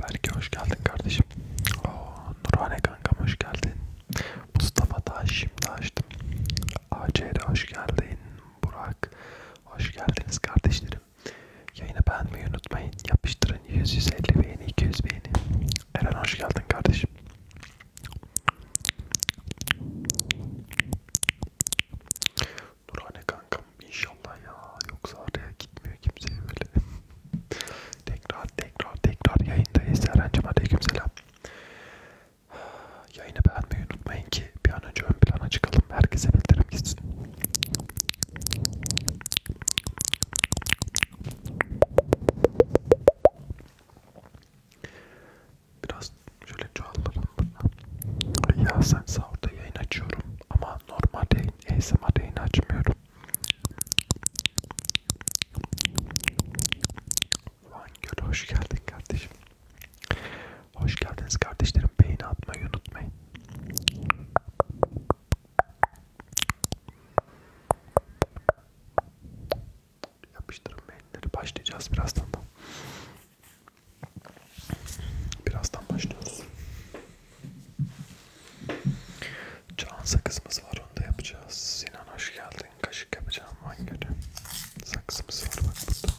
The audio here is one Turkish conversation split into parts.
Belki hoş geldin kardeşim. Oo, Nurhane kankam hoş geldin. Mustafa daha şimdi açtım. ACR hoş geldin. Burak hoş geldiniz kardeşlerim. Yayını beğenmeyi unutmayın. Yapıştırın 100-150 beğeni, 200 beğeni. Eren hoş geldin kardeşim. Nurhane kankam inşallah ya. Yoksa araya gitmiyor kimseye böyle. tekrar tekrar tekrar yayındayız. Eren'cim aleyküm selam. Yayını beğenmeyi unutmayın ki bir an önce ön plana çıkalım. Herkese bildirim gitsin. Biraz Şöyle çoğaltalım buradan. Ya sen sahurda yayın açıyorum ama normal yayın, ASMR yayını açmıyorum. Van Göl hoş geldin kardeşim. Hoş geldiniz kardeşlerim. Beğeni atmayı unutmayın. Yapıştırın beğenileri. Başlayacağız birazdan da. Birazdan başlıyoruz. Can sakızımız var onu da yapacağız. Sinan hoş geldin. Kaşık yapacağım hangi günü? Sakızımız var bak burada.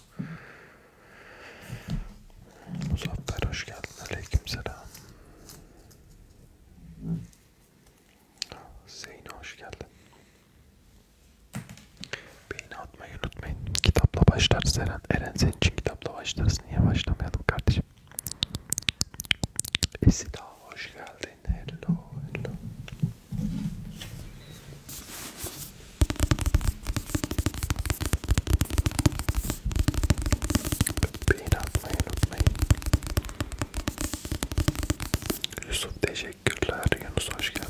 Muzaffer hoş geldin. Aleykümselam. Zeyno hoş geldin. Beyni atmayı unutmayın. Kitapla başlarız Eren. Eren senin için kitapla başlarız. Niye başlamayalım kardeşim? Esida hoş geldin. Hello, hello. Beyni atmayı unutmayın. Yusuf teşekkürler. Yunus hoş geldin.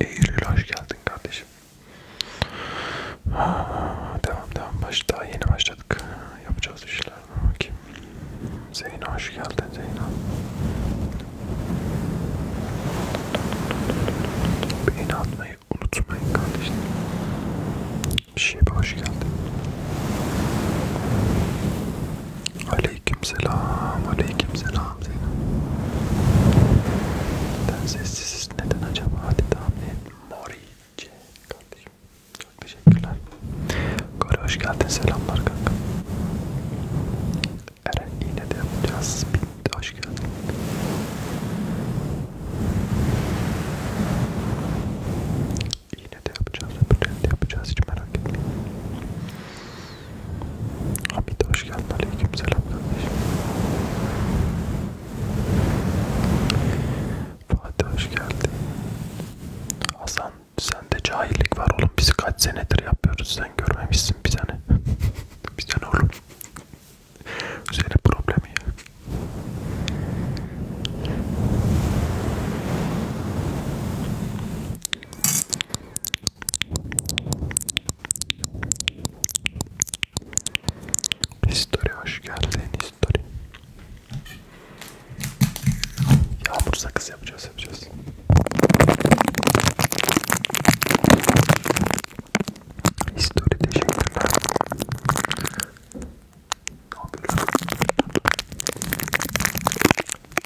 Eylül hoş geldin kardeşim. Devam devam baş daha yeni başladık yapacağız işler. Kim? Zeyno hoş geldin Zeyno. Beğeni atmayı unutmayın kardeşim. Şibe şey hoş geldin. Aleyküm selam, aleyküm selam Zeyno. Neden sessiziz, neden acaba? Hadi tahmin et. Morice kardeşim. Çok teşekkürler. Kore hoş geldin. Selamlar kanka. Eren yine de yapacağız. Bitti. Hoş geldin. Yine de yapacağız. Öbürlerini de yapacağız. Hiç merak etmeyin. Hamid hoş geldin. Aleyküm selam kardeşim. Fatih hoş geldin. Hasan Sende cahillik var oğlum. Biz kaç senedir yapıyoruz. Sen görmemişsin bir tane. bir tane oğlum. Senin problemi ya. Story hoş geldin story. Yağmur sakız yapacağız yapacağız. Story teşekkürler. Ne yapıyorlar?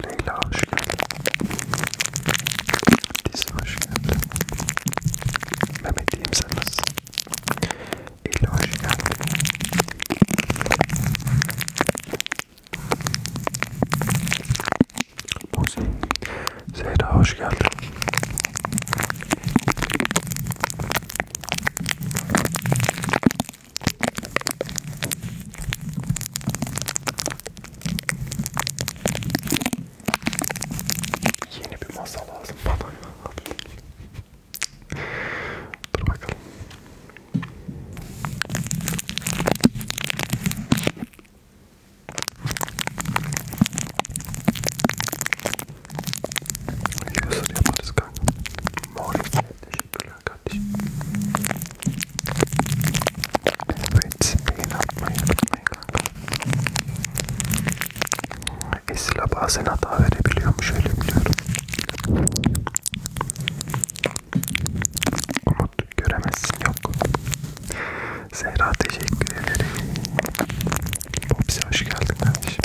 Leyla hoş geldin. Dizi hoş geldin. Mehmet diyeyim sen nasılsın? İlla hoş geldin. Muzi. Zehra hoş geldin. Yeni bir masa lazım bana. Dur bakalım. Yasır yaparız kanka. Mor. Teşekkürler kardeşim. Evet, beyin atmayı unutmayın kanka. Esila bazen hata verebiliyormuş öyle biliyorum. Umut göremezsin yok. Zehra teşekkür ederim. Popsi hoş geldin kardeşim.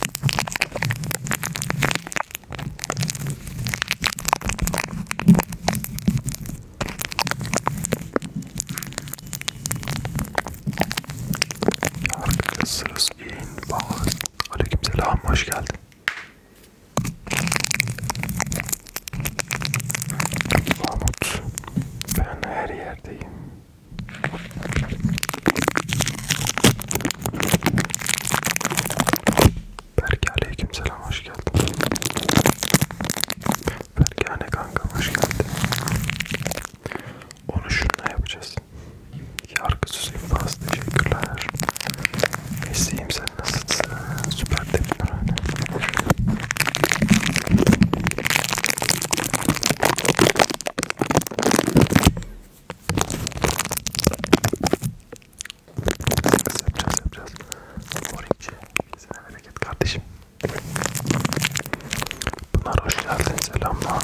Arkadaşlar sırası yayın. Aleykümselam hoş geldin. Mahmut, ben her yerdeyim. Berke aleykümselam hoş geldin. Berke anne kanka hoş geldin. Onu şunla yapacağız. Yargısız infaz teşekkürler. Mesleğim sen nasılsın? Süper demir öyle. Yapacağız yapacağız. Orinci, sana bereket kardeşim. Pınar hoş geldin, selamlar.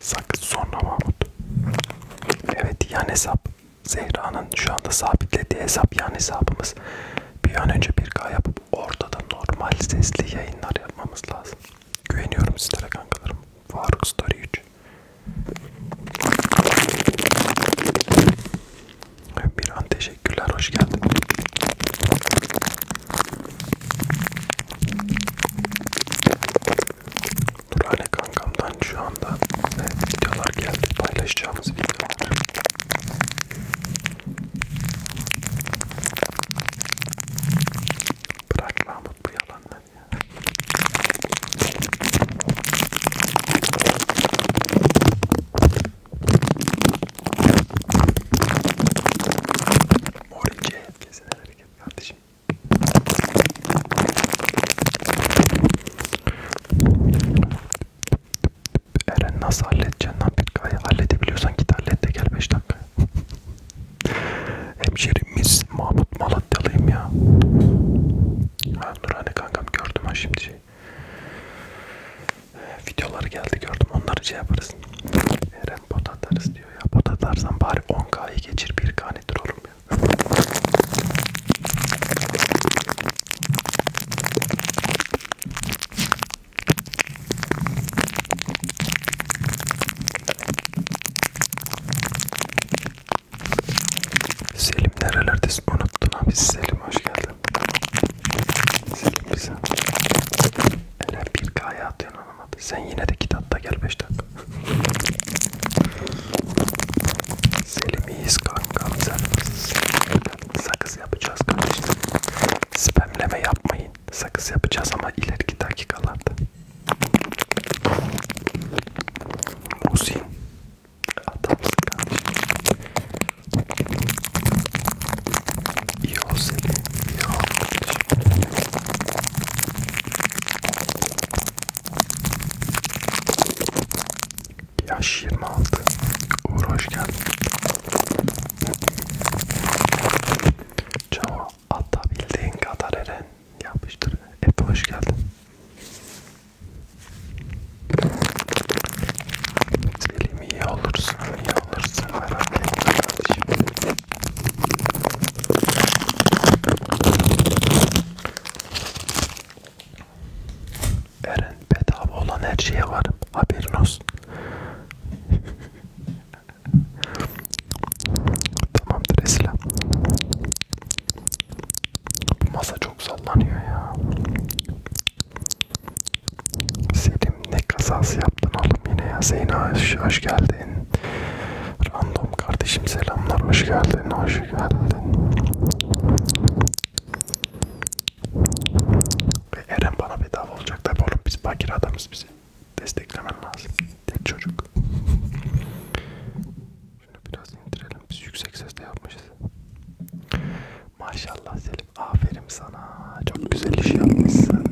Sakız sonra Mahmut. Evet yan hesap. Zehra'nın şu anda sabitlediği hesap yan hesabımız. Bir an önce bir K yapıp ortada normal sesli yayınlar yapmamız lazım. Güveniyorum sizlere kankalarım. Faruk Story 3. Bir an teşekkürler hoş geldin. Turhane kankamdan şu anda e, videolar geldi paylaşacağımız videolar. Bırak Mahmut bu yalanları ya. Mor ince kesin hareket kardeşim. Eren nasıl halledeceksin lan Pirka'yı? Halledebiliyorsan git hallet de gel 5 dakika. Hemşerimiz Mahmut Malatyalıyım ya. Ben Nurhane kankam gördüm ha şimdi şey videoları geldi gördüm. Onları şey yaparız. Eren pot atarız diyor ya. Pot atarsan bari 10K'yı geçir 1K nedir oğlum ya. Selim nerelerdesin unuttun abi Selim hoş geldin Selim bize Eller 1K'ya atıyorsun anlamadı. Sen yine de git hatta gel 5 dakika. Selim iyiyiz kanka. Sakız yapacağız kardeşim. Spamleme yapmayın. Sakız yapacağız ama ileriki dakikalarda. Musin. Adamsın kardeşim. İyi ol seni, iyi ol kardeşim. Yaş 26. Uğur hoş geldin. Çavo atabildiğin kadar Eren yapıştır. Hep hoş geldin. Selim iyi olursun, iyi alırsın merak etme kardeşim. Eren bedava olan her şeye varım. Haberin olsun. Tamamdır Esra. Masa çok sallanıyor ya. Selim ne kazası yaptın oğlum yine ya Zeyna hoş, hoş geldin Random kardeşim selamlar hoş geldin hoş geldin Ve Eren bana bedava olacak tabi oğlum biz bakir adamız bizi desteklemen lazım tek çocuk Şunu biraz indirelim biz yüksek sesle yapmışız Maşallah Selim aferin sana çok güzel iş yapmışsın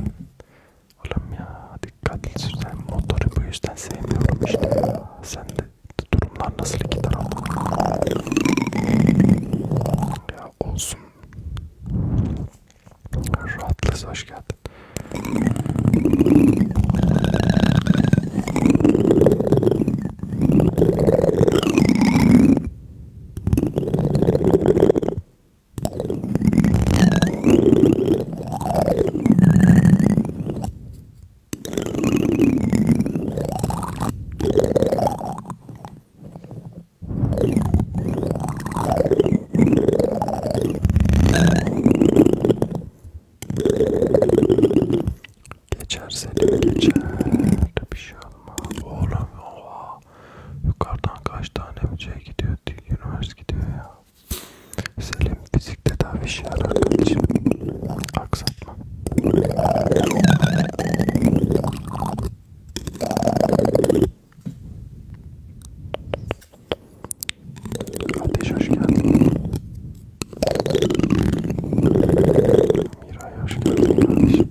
Oğlum ya dikkatli sürsen motoru bu yüzden sevmiyorum işte ya. Sen de durumlar nasıl iki taraflı? Ya olsun. Rahatlısı hoş geldin. Geçer seni geçer. Bir şey olmaz. Oğlum oha. Yukarıdan kaç tane bir şey gidiyor, Universe gidiyor ya. Selim fizik tedavi işi arar için aksatma. Ateş hoş geldin. Miray hoş geldin kardeşim.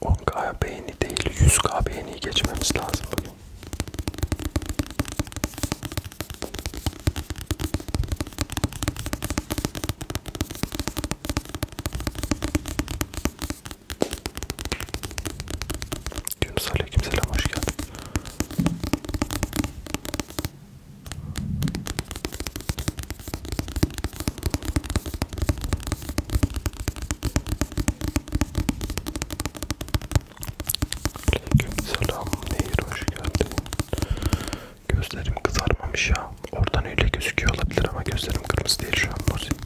10k beğeni değil 100k beğeni geçmemiz lazım bugün. Yunus Aleykümselam hoş geldin. Aleykümselam Nehir hoş geldin. Gözlerim kızarmamış ya. Oradan öyle gözüküyor olabilir ama gözlerim kırmızı değil şu an. Nasıl?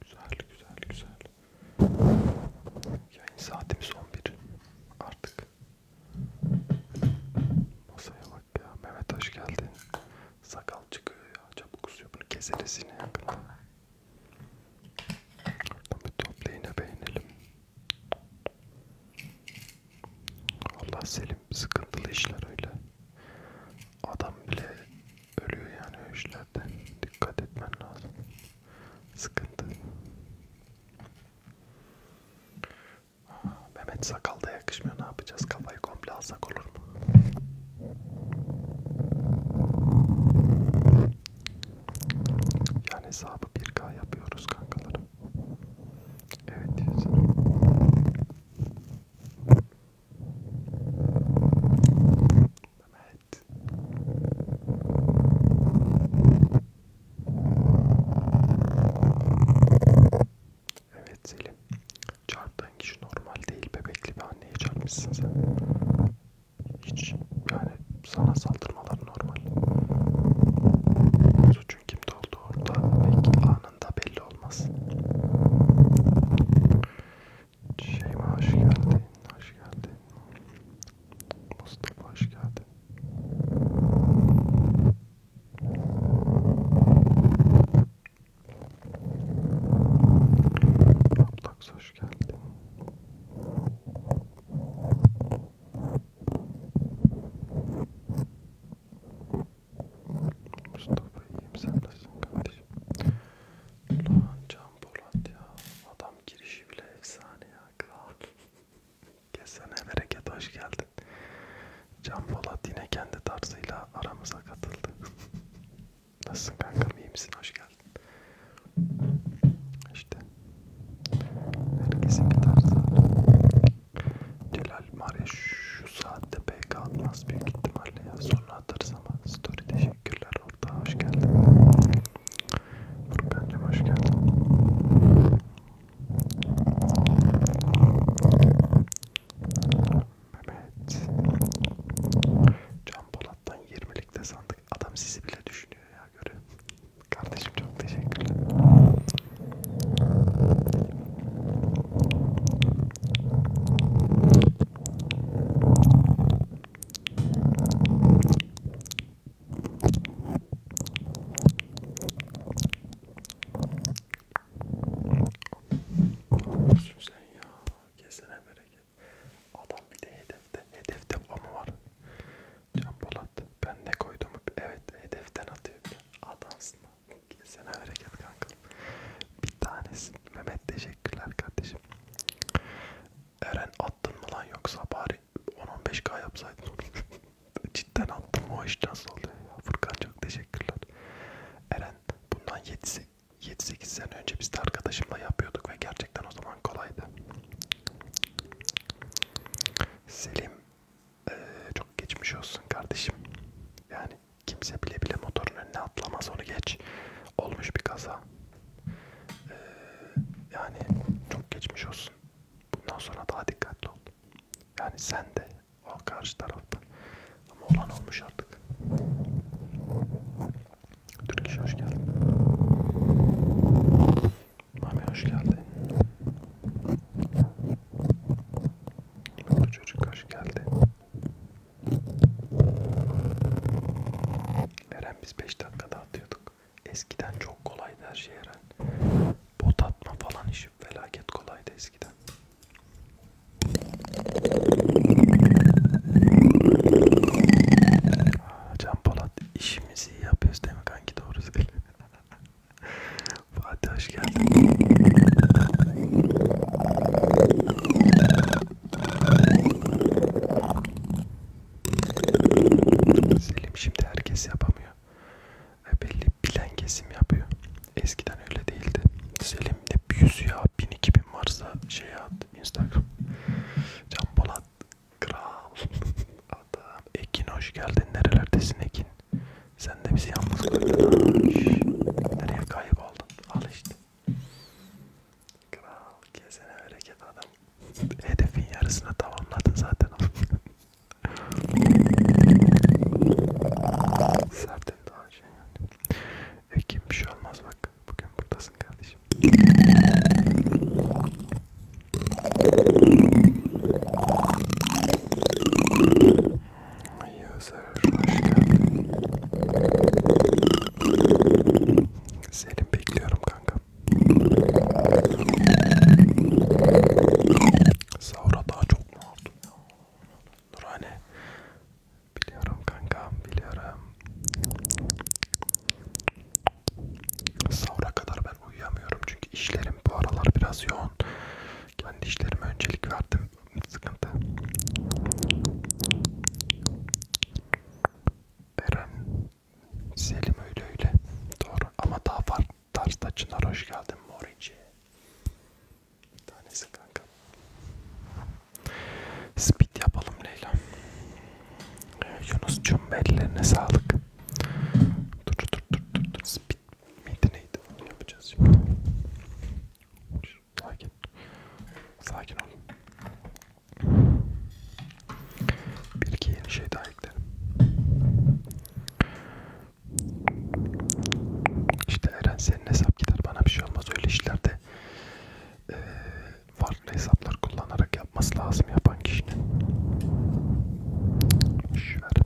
Güzel güzel güzel. Yayın saatimiz 11 artık. Masaya bak ya. Mehmet hoş geldin. Sakal çıkıyor ya. Çabuk kusuyor. Bunu keseriz yine yakında. Oradan bir toplayın beğenelim. Allah Selim sıkıntılı işler öyle. Adam bile ölüyor yani o işlerde. Dikkat etmen lazım. Sıkıntı. Aa, Mehmet sakalda yakışmıyor. Ne yapacağız? Kafayı komple alsak olur mu? Yani hesabı 1K yapıyoruz kankalarım. Evet diyorsun. Mehmet. Evet Selim. Çarptığın kişi normal değil. Bebekli bir anneye çarpmışsın sen. Hiç yani sana saldırmalar normal. Suç Suçun kimde olduğu orada pek anında belli olmaz. Şeyma hoş geldin, hoş geldin. Mustafa hoş geldin. Ablaks hoş geldin. Mustafa iyiyim sen nasılsın kardeşim? Lan Can Polat ya adam girişi bile efsane ya kral. Kesene bereket hoş geldin. Can Polat yine kendi tarzıyla aramıza katıldı. Nasılsın kankam iyi misin hoş geldin. İşte Herkesin giderse. Celal Mare şu saatte pek atmaz büyük ihtimalle ya. Sonra atarız ama story teşekkürler orada hoş geldin. Furkan'cım hoş geldin. Mehmet. Can Polat'tan 20'lik de sandık. Adam sizi bile düşünüyor ya göre. Kardeşim çok teşekkürler. Olsun sen ya. Kesene bereket. Adam bir de hedefte. Hedefte ama var. Can Polat ben ne koydum evet hedeften atıyor Adamsın Sen hareket kanka Bir tanesi Mehmet teşekkürler kardeşim Eren attın mı lan yoksa bari 10-15k yapsaydın Cidden attım o iş nasıl oluyor ya Furkan çok teşekkürler Eren bundan 7-8 sene önce biz de arkadaşımla yapıyorduk ve gerçekten o zaman kolaydı Selim ee, çok geçmiş olsun kardeşim. Yani kimse bile bile motorun önüne atlamaz onu geç. Olmuş bir kaza. Ee, yani çok geçmiş olsun. Bundan sonra daha dikkatli ol. Yani sen de o karşı tarafta. Ama olan olmuş artık. Türk iş hoş geldin. Mami hoş geldin. Bu çocuk hoş geldi. Eren biz 5 dakikada atıyorduk. Eskiden çok kolaydı her şey Eren. Bot atma falan işi felaket kolaydı eskiden. Aa, Can Polat işimizi iyi yapıyoruz değil mi kanki doğru söylüyor. Fatih hoş geldin. Selim şimdi herkes yapamıyor. E belli bilen kesim yapıyor. Eskiden öyle değildi. Selim de 100 ya 1000-2000 varsa şey at Instagram. Can Polat Kral. Adam Ekin hoş geldin. Nerelerdesin Ekin? Sen de bizi yalnız bırakın. Nereye kayboldun? Al işte. Kral kesene hareket adam. Hedefin yarısını tamamladın zaten. Sertin daha şey yani. Ekim bir şey olmaz bak. Bugün buradasın kardeşim. Yazar hoş geldin. Senin bekliyorum kanka. Sahura daha çok mu oldu? Nurhane. Biliyorum kankam biliyorum. Sahura kadar ben yüzden uyuyamıyorum çünkü işlerim bu aralar biraz yoğun. Kendi işlerime öncelik verdim. Sıkıntı. Eren, Selim öyle öyle. Doğru ama daha farklı tarzda Çınar hoş geldin Morici. Bir tanesi kanka. Speed yapalım Leyla. Yunus'cum ellerine sağlık. Dur dur dur dur dur. Speed Neydi neydi onu yapacağız şimdi. Sakin. Sakin ol. Bir iki yeni şey daha eklerim. İşte Eren senin hesap gider bana bir şey olmaz öyle işlerde e, farklı hesaplar kullanarak yapması lazım yapan kişinin. Şöyle.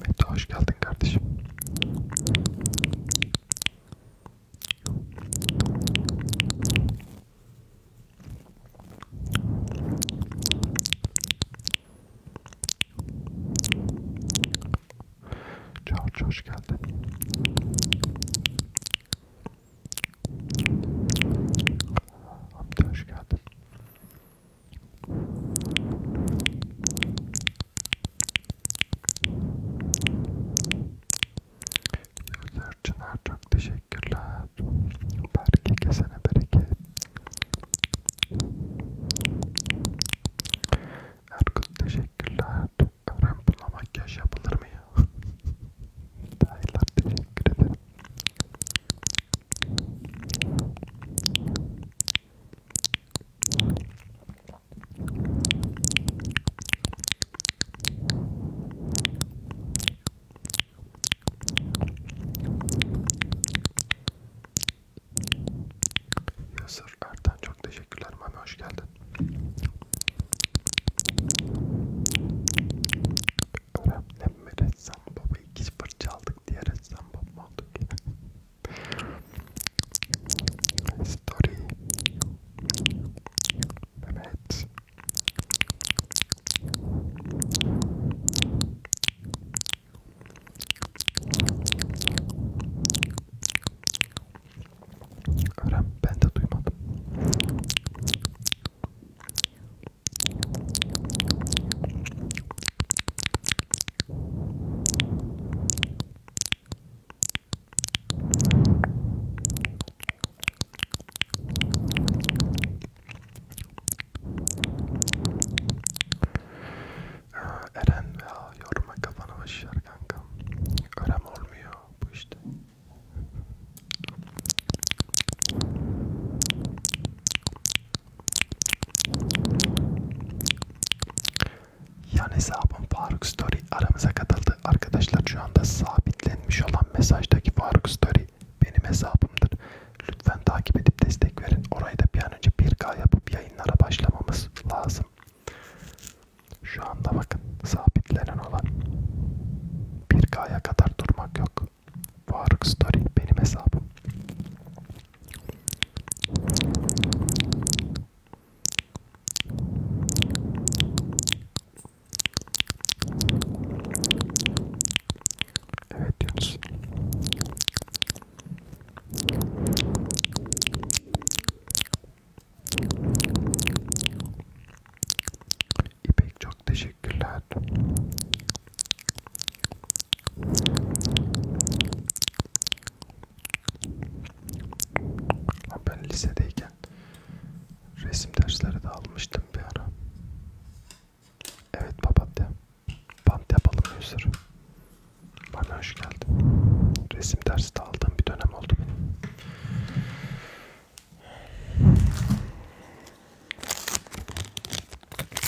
Mete hoş geldin kardeşim. Çağrı hoş geldin. Hamdi hoş geldin. Yıldırcılar çok teşekkürler. Belki kesene bereket. Erkut teşekkürler. Rampla makyaj yapılır mı ya? Dayılar teşekkür ederim. Yasa Dur Ertan çok teşekkürler. Mami hoş geldin. Öğretmen mi ressam baba? İkiz fırça aldık diye ressam baba mı olduk? Story. Evet. Öğren ben de duymadım. Ee, Eren ya yoruma kafana başlar kanka. Önem olmuyor bu işte. Yan hesabım Faruk Story aramıza katıldı. Arkadaşlar şu anda sabitlenmiş olan mesajdaki Faruk Story benim hesabımdır. Lütfen takip edip destek verin. Orayı da bir an önce 1K yapıp yayınlara başlamamız lazım. Şu anda bakın sabitlenen olan 1K'ya kadar durmak yok. Faruk Story benim hesabım. Evet Yunus. İpek çok teşekkürler. Ben lisedeyken resim dersleri de almıştım bir ara. Evet papatya. Bant yapalım bir sürü. Bana hoş geldin. Resim dersi de aldığım bir dönem oldu benim.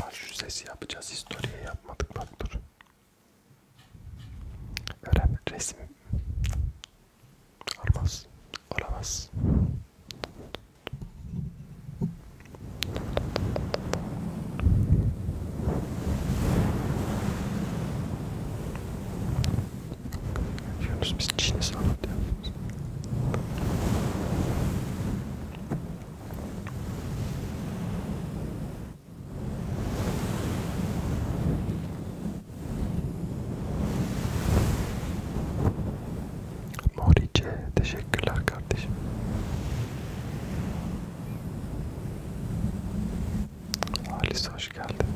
Bak şu sesi yapacağız. Historiye yapmadık bak dur. Öğren resim. Olmaz. Olamaz. Yunus biz Çin'i sanat yapıyoruz. Morice teşekkürler kardeşim. Halis hoş geldin.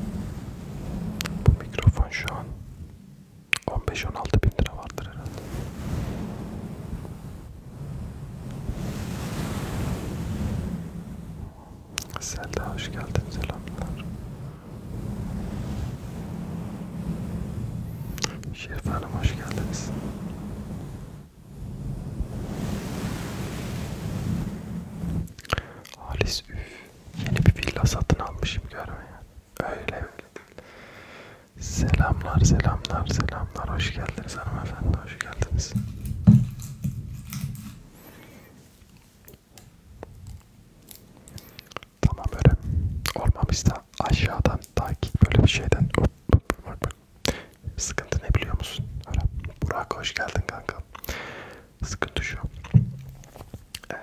Bu mikrofon şu an 15-16 bin lira vardır herhalde. Selda hoş geldin selamlar. Şerife Hanım hoş geldiniz. Halis üf. Yeni bir villa satın almışım görme yani. Öyle öyle değil. Selamlar selamlar selamlar. Hoş geldiniz hanımefendi. Hoş geldiniz. Tamam böyle olmamışsa aşağıdan takip böyle bir şeyden hop, hop, hop, hop. sıkıntı ne biliyor musun? Öyle. Burak hoş geldin kanka. Sıkıntı şu. Ee,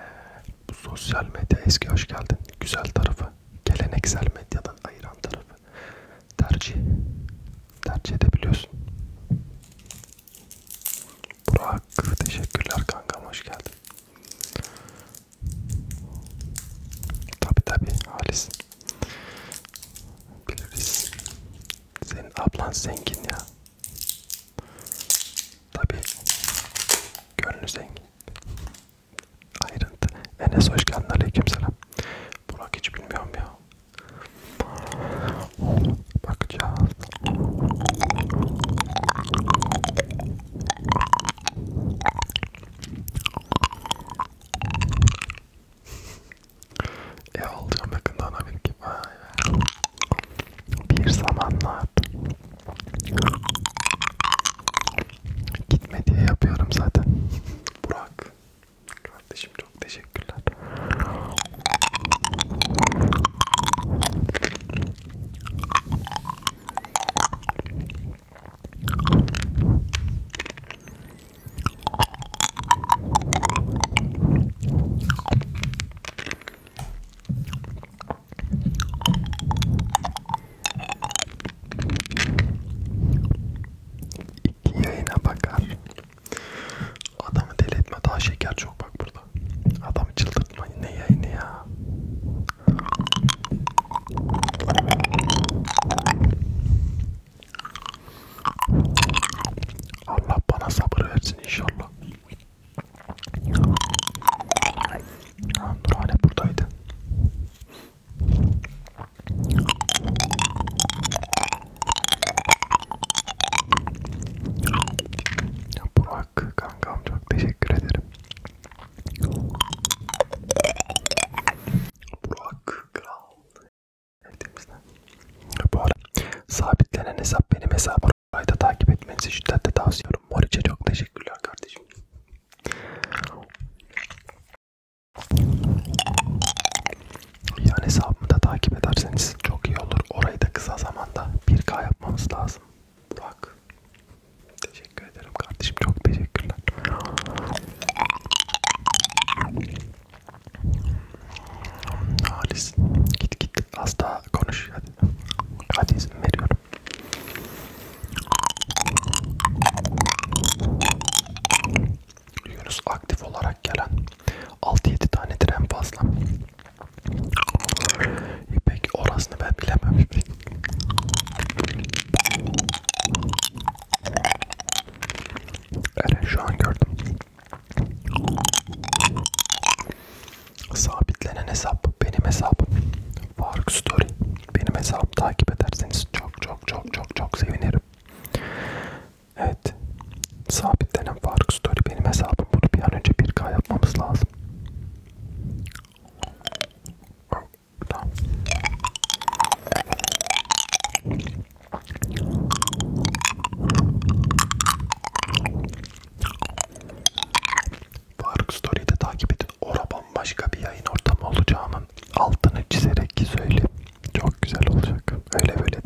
bu sosyal medya eski hoş geldin. Güzel tarafı, geleneksel medyadan ayıran tarafı tercih tercih edebiliyorsun. Burak teşekkürler kankam hoş geldin. Tabi tabi halisin. Biliriz. Senin ablan zengin ya. Tabii gönlü zengin. Ayrıntı. Enes hoş geldin. Aleykümselam. Burak hiç bilmiyorum ya. Bakacağız. Ev alacağım yakında ona bir gibi. Bir zamanlar gitme diye yapıyorum zaten. Burak kardeşim çok teşekkürler. İki yayına bakar. Adamı deli etme daha şeker çok bak burada. Adamı çıldırtma ne yayını ya. Allah bana sabır versin inşallah. Ha, dur hala buradaydı. Ya Burak kankam çok teşekkür ederim. Burak kral. Elimizden. Bu arada sabitlenen hesap benim hesabım. Orayı da takip etmenizi şiddetle tavsiye ediyorum. Moriç'e çok teşekkürler kardeşim. Yani hesabımı da takip ederseniz çok iyi olur. Orayı da kısa zamanda 1K yapmamız lazım. Burak. Teşekkür ederim kardeşim. Çok teşekkürler. Halis git git az daha konuş hadi. Hadi izin veriyorum. Yunus aktif olarak gelen 6-7 tane tren fazla. İpek orasını ben bilemem İpek. Evet şu an gördüm. Sabitlenen hesap benim hesabım. Faruk Story benim hesabımı takip ederseniz çok çok çok çok çok sevinirim. Evet. Sabitlenen Faruk Story benim hesabım. Bunu bir an önce 1K yapmamız lazım. Tamam. Faruk Story'de takip edin. Oraban başka bir yayın ortamı olacağının altını çizerek ki söyleyeyim. Çok güzel olacak. Öyle böyle değil.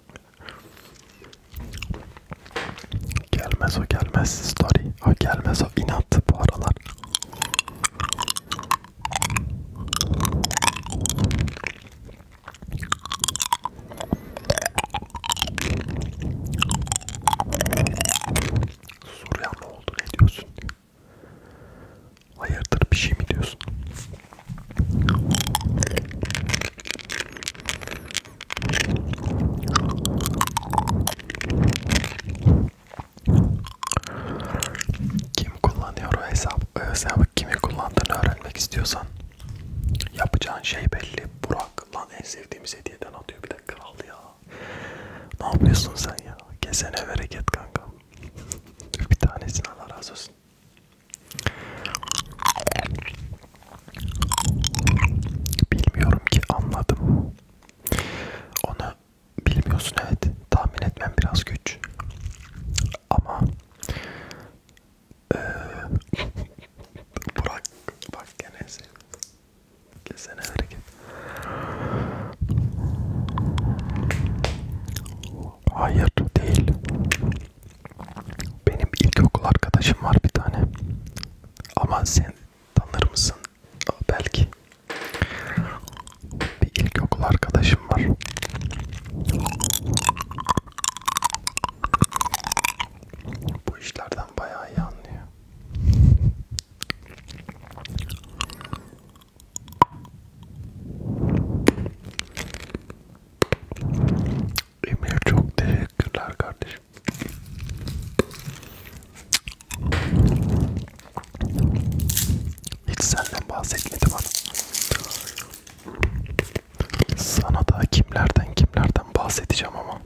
Gelmez o gelmez story. O gelmez o inat bu aralar. Soruya mı oldu ne diyorsun? Hayırdır bir şey mi diyorsun? Kim kullanıyor o hesap? O hesabı kimi kullandığını öğrenmek istiyorsan yapacağın şey belli. Burak lan en sevdiğimiz hediyeden atıyor bir de kral ya. Ne yapıyorsun sen ya? Kesene bereket kanka. bir tanesini Allah razı olsun. Bilmiyorum ki anladım. Onu bilmiyorsun evet. Tahmin etmem biraz güç. Ama ee, Burak bak gene sen. Kesene hareket. Hayır değil. Benim ilkokul arkadaşım var bir tane. Ama sen tanır mısın? Belki. Bir ilkokul arkadaşım var. Bu işlerden bayağı iyi anlıyor. Emir çok teşekkürler kardeşim. Hiç senden bahsetmedim hanım. Sana da kimlerden kimlerden bahsedeceğim ama.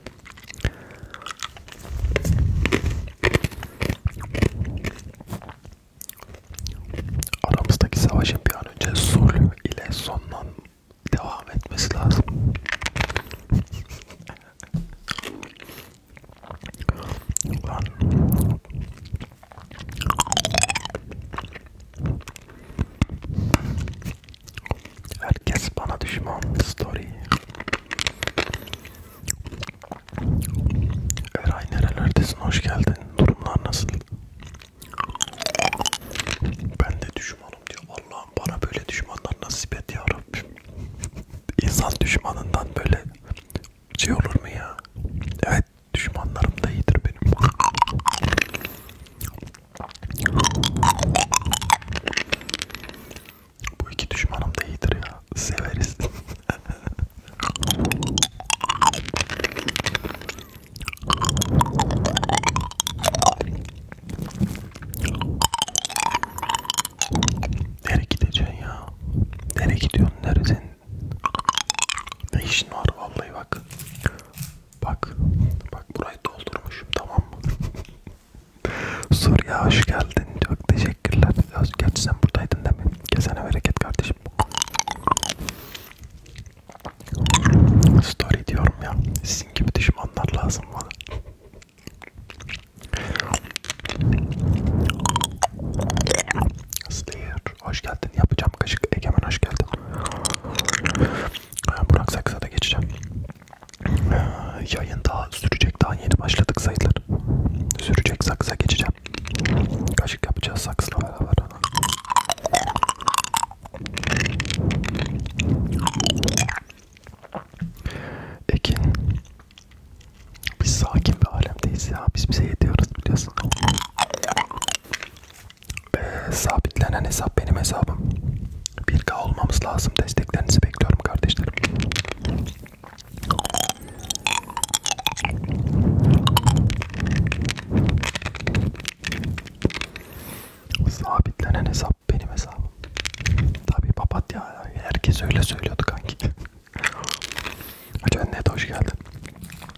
Aramızdaki savaşın bir an önce Sulu ile sonlan devam etmesi lazım. Lan. Herkes bana düşman story. Eray nerelerdesin hoş geldin durumlar nasıl? Ben de düşmanım diyor. Allah'ım bana böyle düşmanlar nasip et ya Rabbim. İnsan düşmanından böyle şey olur mu ya? Evet düşmanlarım da iyidir benim. Bu iki düşmanım da iyidir ya. Severiz. Nereye gideceksin ya? Nereye gidiyorsun? Neresin? Ne işin var vallahi bak. Bak. Bak burayı doldurmuşum tamam mı? Suriye hoş geldin. Çok teşekkürler. Gerçi sen buradaydın değil mi? Kesene bereket kardeşim. Story diyorum ya. Sizin gibi düşmanlar lazım bana. Slayer hoş geldin. Yapacağım kaşık. Egemen hoş geldin. Burak Saksa'da geçeceğim. Yayın daha sürecek. Daha yeni başladık sayılır. Sürecek saksa geçeceğim. Kaşık yapacağız saksla beraber. Ekin Biz sakin bir alemdeyiz ya Biz bize yetiyoruz biliyorsun Ve sabitlenen hesap benim hesabım 1K olmamız lazım Desteklerinizi bekliyorum kardeşlerim Sabitlenen hesap benim hesabım. Tabii papatya herkes öyle söylüyordu kanki. Hacı net hoş geldin.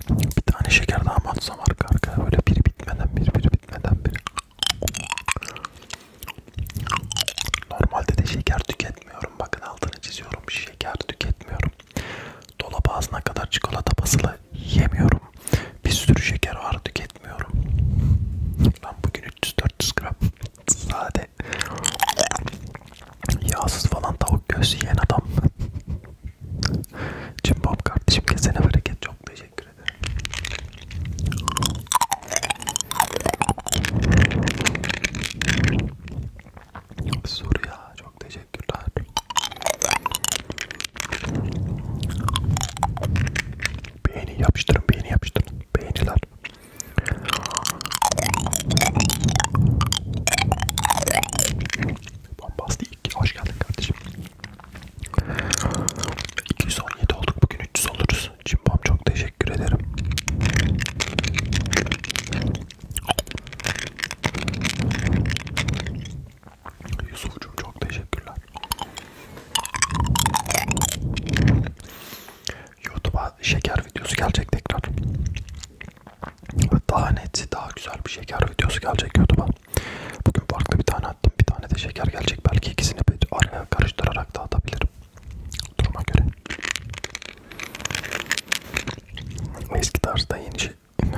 Bir tane şeker daha mı atsam arka arka böyle biri bitmeden biri biri bitmeden biri. Normalde de şeker tüketmiyorum. Bakın altını çiziyorum. Şeker tüketmiyorum. Dolap ağzına kadar çikolata basılı fazla yemiyorum. Bir sürü şeker ağrı tüketmiyorum. Lan bugün 300-400 gram sade yağsız falan tavuk göğsü yiyen adam. Cimbom kardeşim kesene bereket çok teşekkür ederim. Surya çok teşekkürler. Beğeni yapıştırın, beğeni yapıştırın. Beğeniler. Bombastik. Hoş geldin kardeşim. 217 olduk. Bugün 300 oluruz. Cimbom çok teşekkür ederim. Yusuf'cum çok teşekkürler. YouTube'a şeker videosu gelecek tekrar. Daha net, daha güzel bir şeker videosu gelecek YouTube'a. Bugün farklı bir tane attım, bir tane de şeker gelecek. Belki ikisini bir araya karıştırarak da atabilirim. Duruma göre. Eski tarzda yeni şey.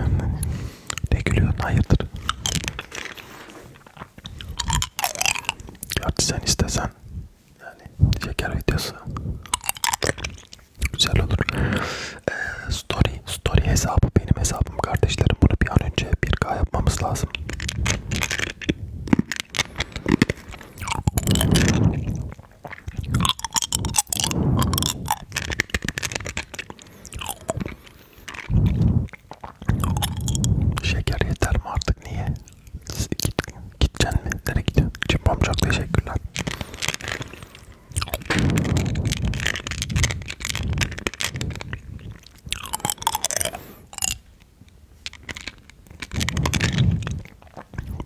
Ne gülüyorsun? Hayırdır? Gerçi sen istesen yani şeker videosu güzel olur. Ee, story story hesabı benim hesabım kardeşlerim. Bunu bir an önce 1K yapmamız lazım. Şeker yeter mi artık niye? Git, gideceksin mi? Nereye gidiyorsun? Cimbom çok teşekkürler.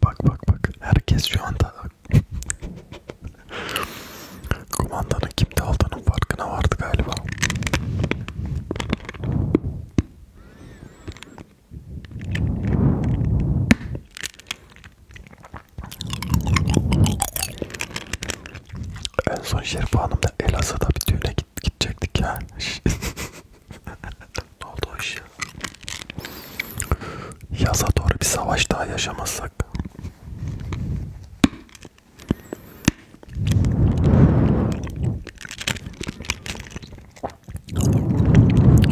Bak bak bak. Herkes şu anda Kumandanın kimde aldığının farkına vardı galiba. En son Şerif Hanım da Elazığ'da bir düğüne git gidecektik ya. ne oldu o iş ya? Yaza doğru bir savaş daha yaşamazsak.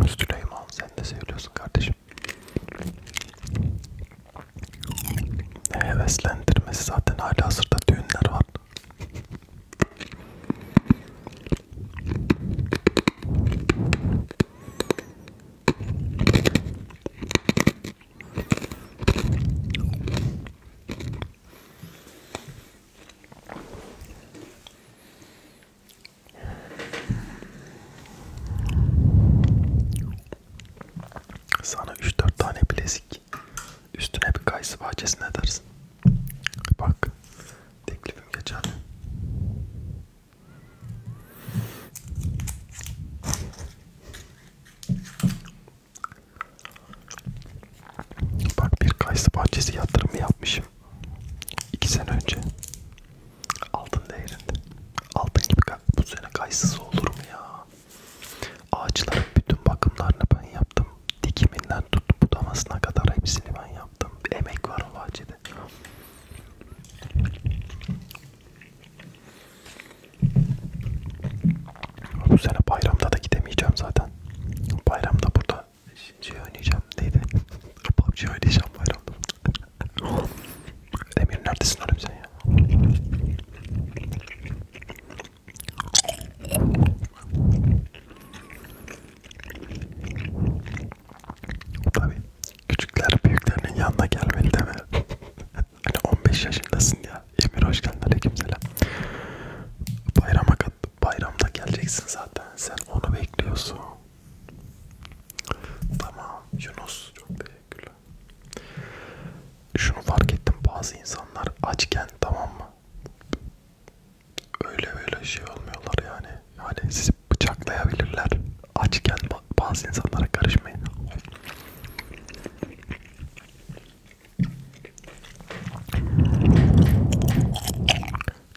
Süleyman sen de seviyorsun kardeşim. Heveslendirmesi zaten hala hazırda düğünler var. Sana 3-4 tane bilezik üstüne bir kayısı bahçesine edersin. Bak teklifim geçerli. Bak bir kayısı bahçesi yatırımı yapmışım. İki sene önce. Altın değerinde. Altın gibi bu sene kayısız olur mu ya? Ağaçların bütün bakımlarını ben yaptım. Dikiminden tut budamasına kadar hepsini ben yaptım. Emek var o bahçede. Bu sene bayramda da gidemeyeceğim zaten. Bayramda burada şey oynayacağım. Neydi? PUBG oynayacağım bayramda. Demir neredesin oğlum sen ya? Tabii küçükler büyüklerinin yanına gelmeli değil mi? Hani 15 yaşındasın ya. Emir hoş geldin aleykümselam. Bayrama bayramda geleceksin zaten. Sen onu bekliyorsun. Tamam Yunus çok teşekkürler. Şunu fark ettim bazı insanlar açken tamam mı? Öyle öyle şey olmuyorlar yani. Yani sizi bıçaklayabilirler. Açken bazı insanlara karışmayın.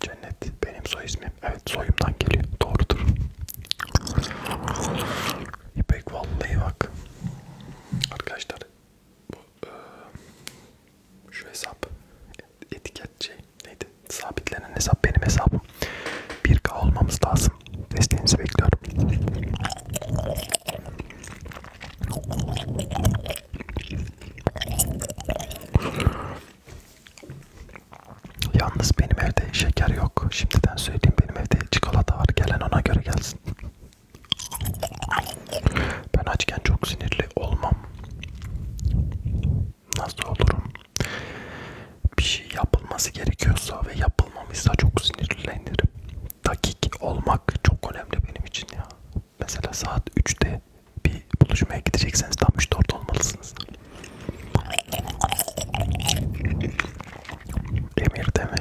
Cennet benim soy ismim. Evet soyumdan geliyor. Doğrudur. İpek vallahi bak. Arkadaşlar bu e, şu hesap etiket şey neydi? Sabitlenen hesap benim hesabım. 1K olmamız lazım. Desteğinizi bekliyorum. Yalnız benim evde şeker yok. Şimdiden söyleyeyim benim evde çikolata var. Gelen ona göre gelsin. Ben açken çok sinirli olmam. Nasıl olurum? Bir şey yapılması gerekiyorsa ve yap yapılmamışsa çok sinirlenirim. Dakik olmak çok önemli benim için ya. Mesela saat 3'te bir buluşmaya gidecekseniz tam 3-4 olmalısınız. Emir deme,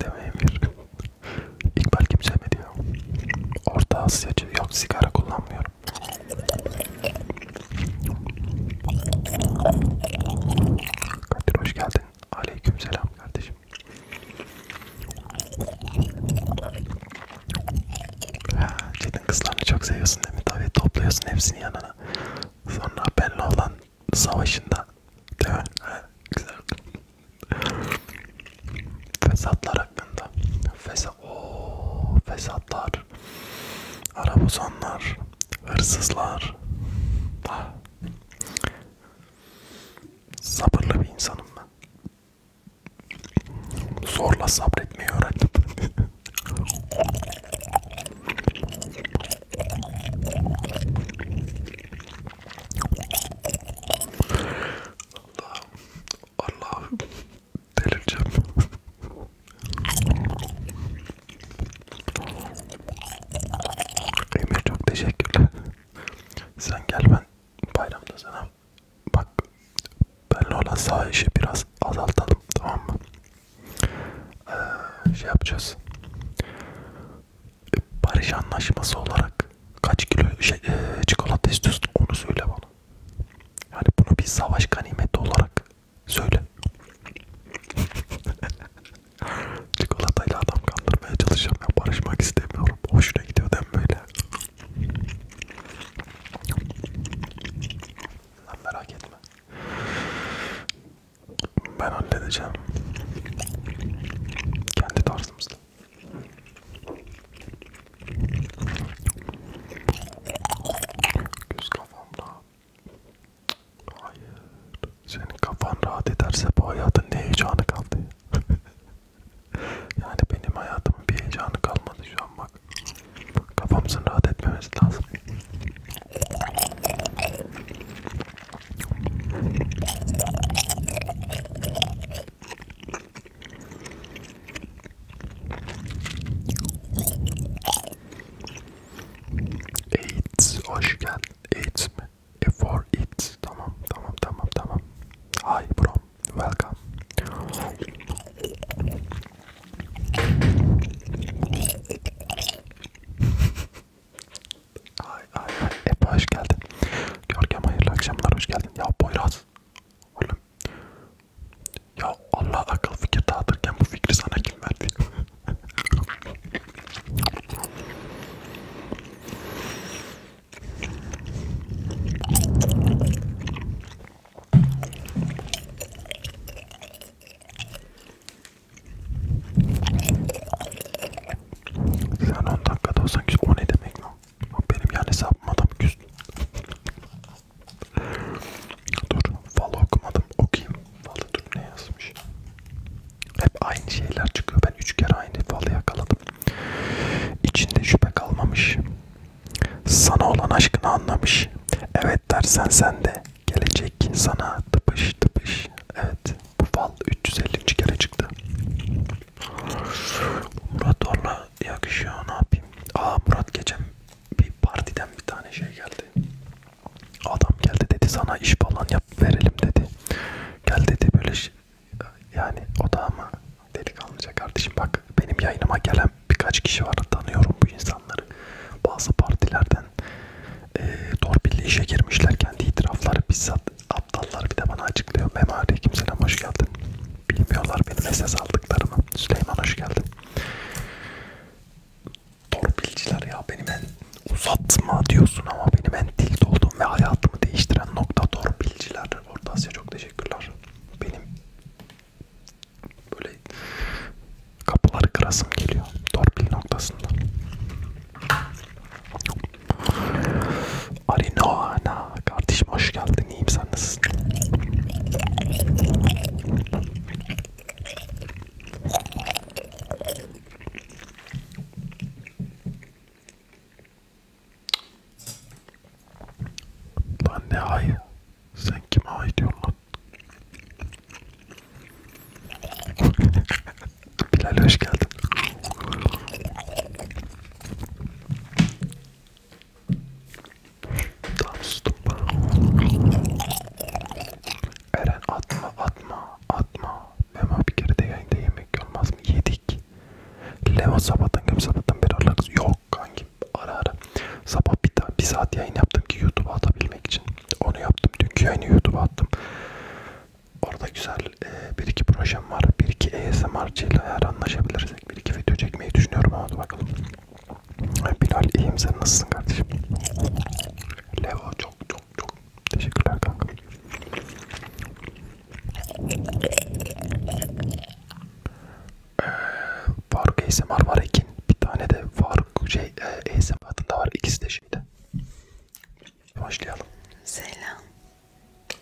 deme Emir. İkbal kim sevmedi ya. Orta Asyacı yok sigara kullanmıyorum. Kadir hoş geldin. Aleykümselam kardeş arkadaş. Çetin kızlarını çok seviyorsun değil mi? Tabii topluyorsun hepsini yanına. Sonra benle olan savaşında değil mi? Güzel. Fesatlar hakkında. Fesa Oo, fesatlar. Arabuzonlar. Hırsızlar. Ah. Sabırlı bir insanım ben. Zorla sabretmeyi öğrendim. Allah Allah delireceğim. Emir çok teşekkürler. Sen gel ben bayramda sana bak benle olan sağ işi biraz azaltalım tamam mı? Ee, şey yapacağız. E, barış anlaşması olarak kaç kilo şey, e, çikolata istiyorsun onu söyle bana. Yani bunu bir savaş ganimeti olarak söyle. Çikolatayla adam kandırmaya çalışıyorum ya barışmak istemiyorum. Hoşuna gidiyor dem böyle. Sen merak etme. Ben halledeceğim. Kendi tarzımızda. Göz kafamda. Hayır. Senin kafan rahat ederse bu hayatın ne heyecanı kaldı? yani benim hayatımın bir heyecanı kalmadı şu an bak. Kafamızın rahat etmemesi lazım. AIDS hoş geldin. AIDS mi? E for it. Tamam, tamam, tamam, tamam. Hi bro, welcome. ay ay ay, Epe hoş geldin. Görkem hayırlı akşamlar, hoş geldin. Ya Boyraz, oğlum. Ya Allah akıl fikir dağıtırken bu fikri sana kim verdi? Sen 10 dakikada olsan ki o ne demek lan? Benim yani hesabım adam küstü. Dur, Val okumadım. Okuyayım. Val'ı dur ne yazmış? Hep aynı şeyler çıkıyor. Ben üç kere aynı falı yakaladım. İçinde şüphe kalmamış. Sana olan aşkını anlamış. Evet dersen sen de gelecek sana tıpış tıpış. Evet bu fal 350. kere çıktı. Murat Orla yakışıyor ne yapayım. Aa Murat geçen bir partiden bir tane şey geldi. Adam geldi dedi sana iş falan yap verelim dedi. Gel dedi böyle yani o da ama delikanlıca kardeşim bak benim yayınıma gelen birkaç kişi var tanıyorum bu insanları. Bazı partilerden e, torpilli işe girmişler kendi itirafları bizzat aptallar bir de bana açıklıyor. Memari kimseler hoş geldin. Bilmiyorlar benim SS aldıklarımı. Süleyman hoş geldin. Torpilciler ya benim en uzatma diyorsun ama benim en tilt olduğum ve hayatımı değiştiren nokta torpilciler. Orta Asya çok teşekkürler. Benim böyle kapıları kırasım geliyor torpil noktasında. Arinoana kardeşim hoş geldin. İyiyim sen nasılsın? Lan ne ayı? Sen kime ay diyorsun lan? Bilal hoş geldin. Tam sustum Eren atma atma atma Memo bir kere de yayında yemek olmaz mı? Yedik. Leo sabahtan kim sabahtan beri alırız. Yok kankim ara ara. Sabah bir, daha, bir saat yayın yaptım ki YouTube'a atabilmek için. Onu yaptım. Dünkü yayını YouTube'a attım. Orada güzel e, bir iki projem var. Bir iki ASMR'cı ile eğer anlaşabilirsek bir iki video çekmeyi düşünüyorum. Hadi bakalım. Bilal iyiyim sen nasılsın kardeşim? Leo çok çok çok Teşekkürler kanka. Ee, Faruk ASMR var Ekin. Bir tane de Faruk şey e, ASMR adında var. İkisi de şeyde. Başlayalım. Selam.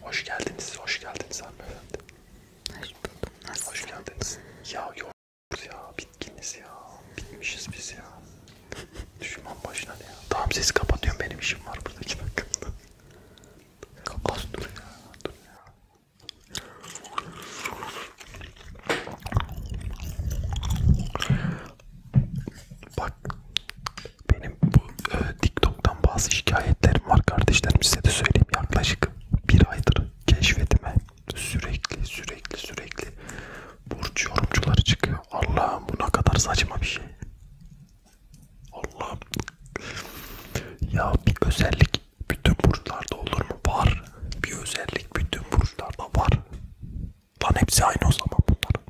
Hoş geldiniz. Hoş geldiniz hanımefendi. Hoş buldum. Nasılsın? Hoş geldiniz. Ya yoruluz ya. Bitkiniz ya. Bitmişiz biz ya. Düşman başına ya. Tamam sesi kapatıyorum benim işim var burada 2 dakikada. Kapat dur ya. Dur ya. Bak benim bu e, TikTok'tan bazı şikayetlerim var kardeşlerim size de söyleyeyim yaklaşık bir aydır keşfetime sürekli sürekli sürekli burç yorumcuları çıkıyor. Allah'ım bu ne kadar saçma bir şey. Allah'ım. Ya bir özellik bütün burçlarda olur mu? Var. Bir özellik bütün burçlarda var. Lan hepsi aynı o zaman bunların.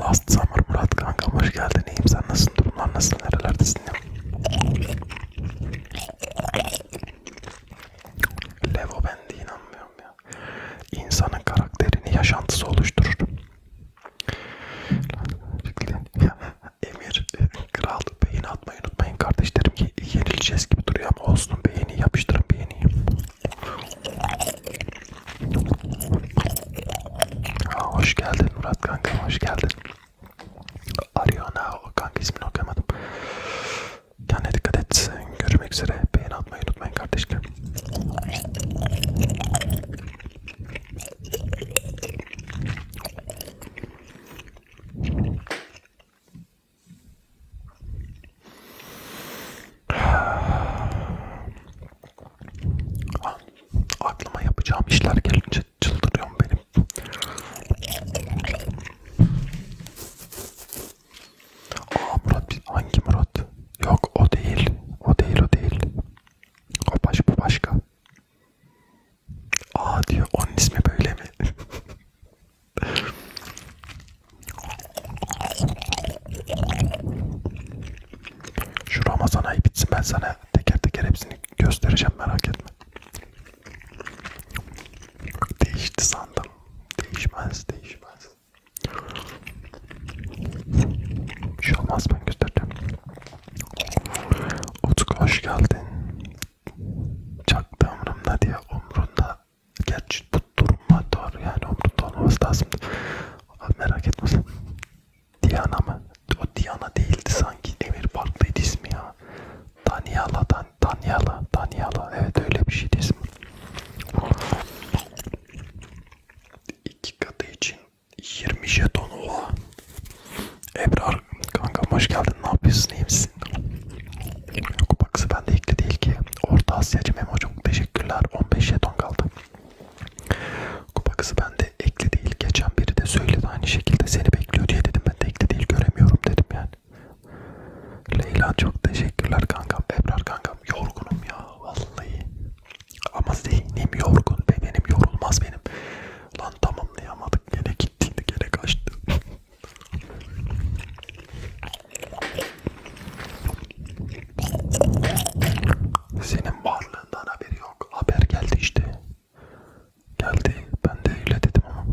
Last Summer Murat kankam hoş geldin. İyiyim sen nasılsın? Durumlar nasıl? Nerelerdesin ya? Levo ben de inanmıyorum ya. İnsanın karakterini yaşantısı oluşturur. Emir kral beğeni atmayı unutmayın kardeşlerim. Yenileceğiz gibi duruyor ama olsun beğeni yapıştırın beğeni. Aa, hoş geldin Murat kanka hoş geldin. Ariana o kanka ismini okuyamadım. Kendine dikkat et. Görmek üzere. Beğeni atmayı unutmayın kardeşlerim. Ah, aklıma yapacağım işler gelince çıldırıyorum benim. Aa Murat biz hangi Murat? Yok o değil. O değil o değil. O baş bu başka. Aa diyor onun ismi böyle mi? Şu Ramazan ayı bitsin ben sana teker teker hepsini göstereceğim merak etme. Değişti sandım. Değişmez değişmez. Bir şey olmaz ben göstereceğim. Utku hoş geldin. Çak da umrumda diye umrunda. Gerçi bu duruma doğru yani umrunda olmaması lazım. Merak etme sen. Diana mı? O Diana değildi sanki. Emir farklıydı ismi ya. Daniela, Dan Daniela, Daniela. Evet öyle bir şeydi ismi. İki katı için 20 jeton oha. Ebrar kanka hoş geldin. Ne yapıyorsun? İyi misin? Yok baksı bende ilkli değil ki. Orta Asyacı Memo çok teşekkürler. 15 jeton kaldı. Kupa kızı bende ekli değil. Geçen biri de söyledi aynı şekilde seni bekliyor diye dedim. Ben de ekli değil göremiyorum dedim yani. Leyla çok teşekkürler kankam. Ebrar kankam yorgunum ya vallahi. Ama zihnim yorgun, bedenim yorulmaz benim. Lan tamamlayamadık, gene gittiydi, gene kaçtı. Senin varlığından haberi yok. Haber geldi işte. Geldi. Ben de öyle dedim ama.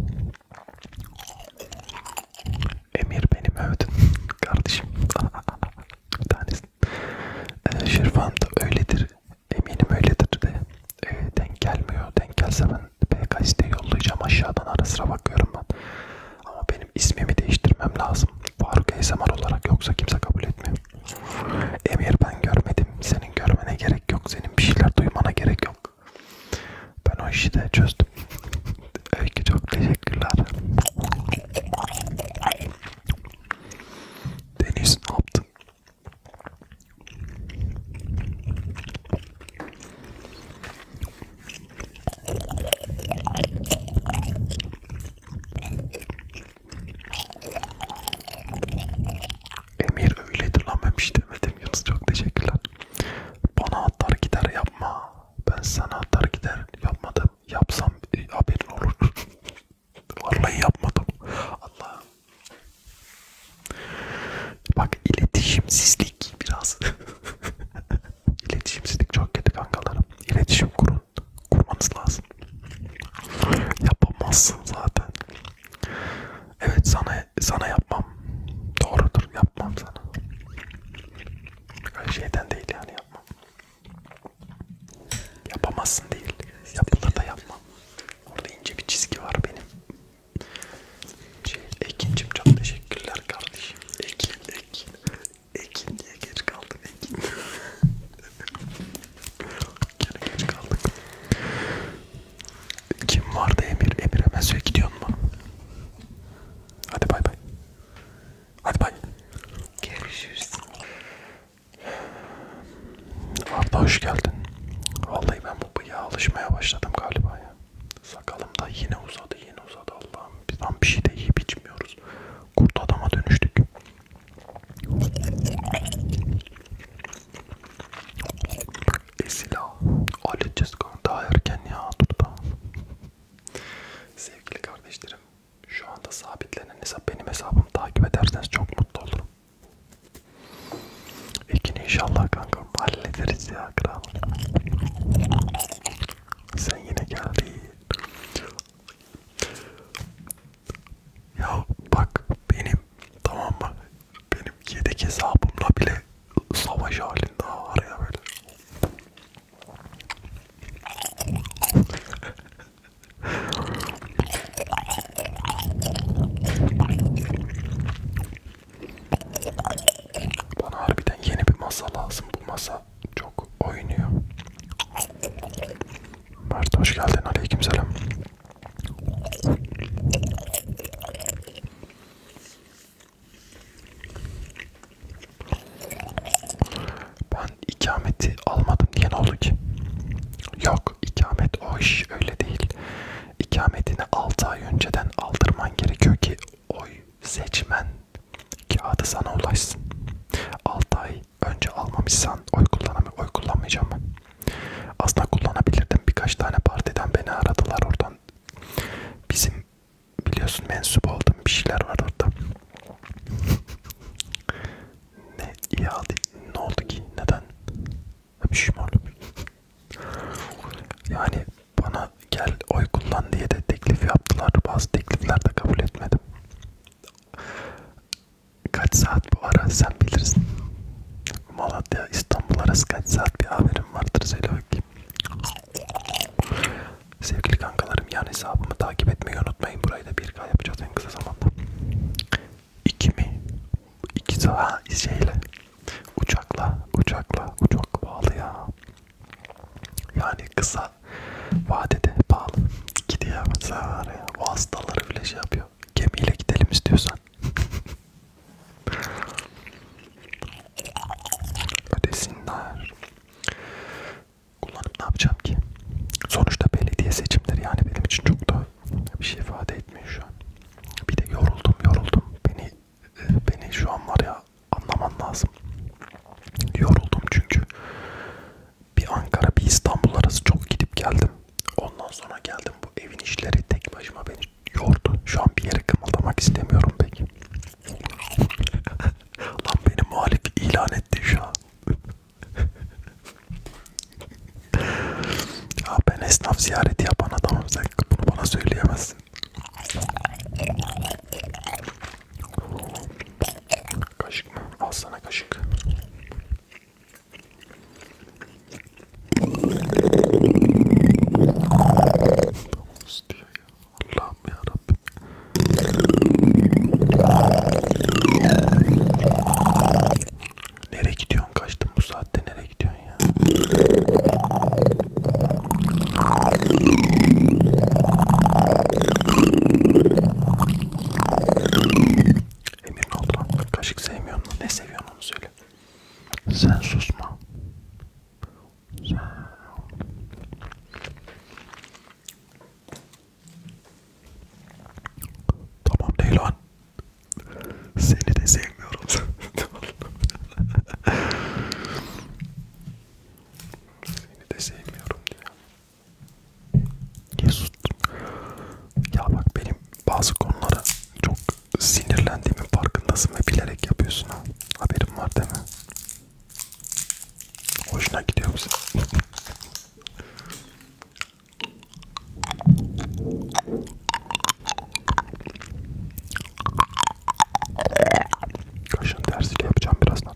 Emir benim övdün kardeşim. Bir tanesi. Ee, Şirvan da öyledir. Eminim öyledir de. Ee, denk gelmiyor. Denk gelse ben PKS'de yollayacağım. Aşağıdan ara sıra bakıyorum ben. Ama benim ismimi değiştirmem lazım. Faruk ASMR olarak yoksa kimse kabul etmiyor. Emir ben görmedim. Senin görmene gerek yok. Senin bir şeyler duymana gerek yok. Ben o işi de çözdüm. Öykü çok teşekkürler. Deniz ne yaptın? Emir öyleydi lan ben bir şey demedim Yunus çok teşekkürler. Bana atar gider yapma. Ben sana atar gider yapma da yapmadım. Yapsam e, haberin olur. Vallahi yapmadım. Allah. Bak iletişimsizlik biraz. İletişimsizlik çok kötü kankalarım. İletişim kurun. Kurmanız lazım. Yapamazsın zaten. Evet sana sana yapmam. Doğrudur yapmam sana. Öyle şeyden değil yani yapma. Yapamazsın değil. Yapılır da yapma. Orada ince bir çizgi var benim. Şey, Ekin'cim çok teşekkürler kardeşim. Ekin, Ekin. Ekin diye geç kaldım Ekin. Gene geç kaldık. Kim vardı Emir? Emir hemen söyle gidiyor mu? Hadi bay bay. Hadi bay. Görüşürüz. Abla hoş geldin. Vallahi ben bu bıyığa alışmaya başladım galiba ya. Sakalım da yine uzadı yine uzadı Allah'ım. Biz tam bir şey de yiyip içmiyoruz. Kurt adama dönüştük. Esila. Halledeceğiz daha erken ya. Dur da. Sevgili kardeşlerim, şu anda sabitlenen hesap benim hesabımı takip ederseniz çok mutlu olurum. Ekin inşallah kankam hallederiz ya kral. Sen yine geldin. Ya bak benim tamam mı? Benim yedek hesabımla bile savaş halinde araya böyle. Bana harbiden yeni bir masa lazım. Bu masa çok oynuyor. Mert hoş geldin. Aleykümselam. Ben ikameti almadım diye ne oldu ki? Yok ikamet o iş öyle değil. İkametini 6 ay önceden aldırman gerekiyor ki oy seçmen kağıdı sana ulaşsın. 6 ay önce almamışsan oy, kullanamay oy kullanmayacağım ben. Aslında kullanabilirdim birkaç tane partiden beni aradılar oradan. Bizim biliyorsun mensup oldum bir şeyler var orada. ne iyi aldı, ne oldu ki, neden? Bir şey mi oldu? Yani bana gel oy kullan diye de teklif yaptılar, bazı teklifler de kabul etmedim. Kaç saat bu ara sen bilirsin. Malatya İstanbul arası kaç saat bir haberim vardır Zelo Sevgili kankalarım yan hesabımı takip etmeyi unutmayın. Burayı da 1K yapacağız en kısa zamanda. 2 mi? 2 saat şeyle. Uçakla, uçakla, uçak pahalı ya. Yani kısa vadede pahalı. Gidiyemez var ya. O hastaları bile şey yapıyor. Gemiyle gidelim istiyorsan. Ödesinler kullanıp ne yapacağım ki? Sonuçta belediye seçimleri yani benim için çok da bir şey ifade etmiyor şu an. Bir de yoruldum yoruldum. Beni beni şu an var ya anlaman lazım. Yoruldum çünkü bir Ankara bir İstanbul arası çok gidip geldim. Ondan sonra geldim bu evin işleri tek başıma beni yordu. Şu an bir yere kımıldamak istemiyorum pek. Lan beni muhalif ilan etti şu an. ya ben esnaf ziyareti yapan adamım sen bunu bana söyleyemezsin. Kaşık mı? Al sana kaşık. Nasıl diyor ya? Allah'ım yarabbim. Nereye gidiyorsun? Kaçtın bu saatte nereye gidiyorsun ya? Emir ne oldu lan? Kaşık sevmiyor mu? Ne seviyorsun onu söyle. Sen susma. Sen... Tamam Leylan. Seni de sevmiyorum. Seni de sevmiyorum diyor. Niye sustun? Ya bak benim bazı konulara çok sinirlendiğimin farkındasın ve bilerek yapıyorsun ha. Haberim var değil mi? Hoşuna gidiyor musun? Kaşın tersiyle yapacağım birazdan.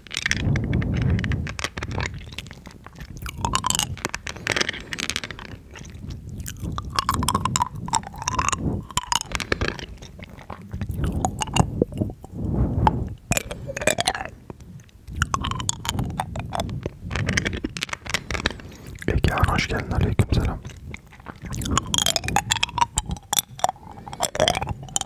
Egehan hoş geldin. Aleykümselam.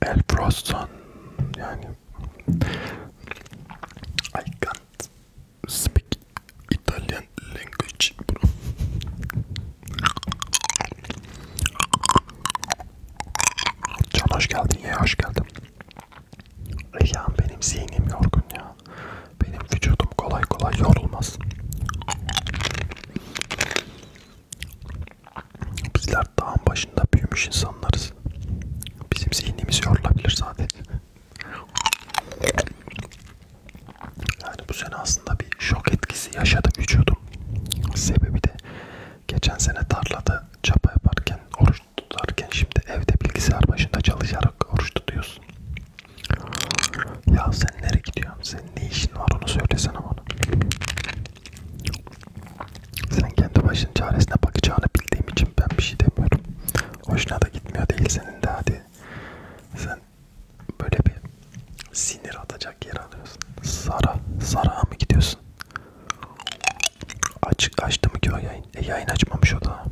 El Proston yani I can't speak Italian language bro. Can hoş geldin ya hoş geldin. Ya benim zihnim yorgun ya. Benim vücudum kolay kolay yorulmaz. Bizler dağın başında büyümüş insanlarız. Bizim zihnimiz yorulabilir sadece. Yani bu sene aslında bir şok etkisi yaşadı vücudum. Sebebi de geçen sene tarlada çapa yaparken, oruç tutarken şimdi evde bilgisayar başında çalışarak oruç tutuyorsun. Ya sen nereye gidiyorsun? Senin ne işin var onu söylesene bana. Sen kendi başının çaresine bakacağını bildiğim için ben bir şey demiyorum. Hoşuna da gitmiyor değil senin de hadi. Sen böyle bir sinir atacak yer alıyorsun. Sara, Sara mı gidiyorsun? Açık açtı mı ki o yayın? E yayın açmamış o da.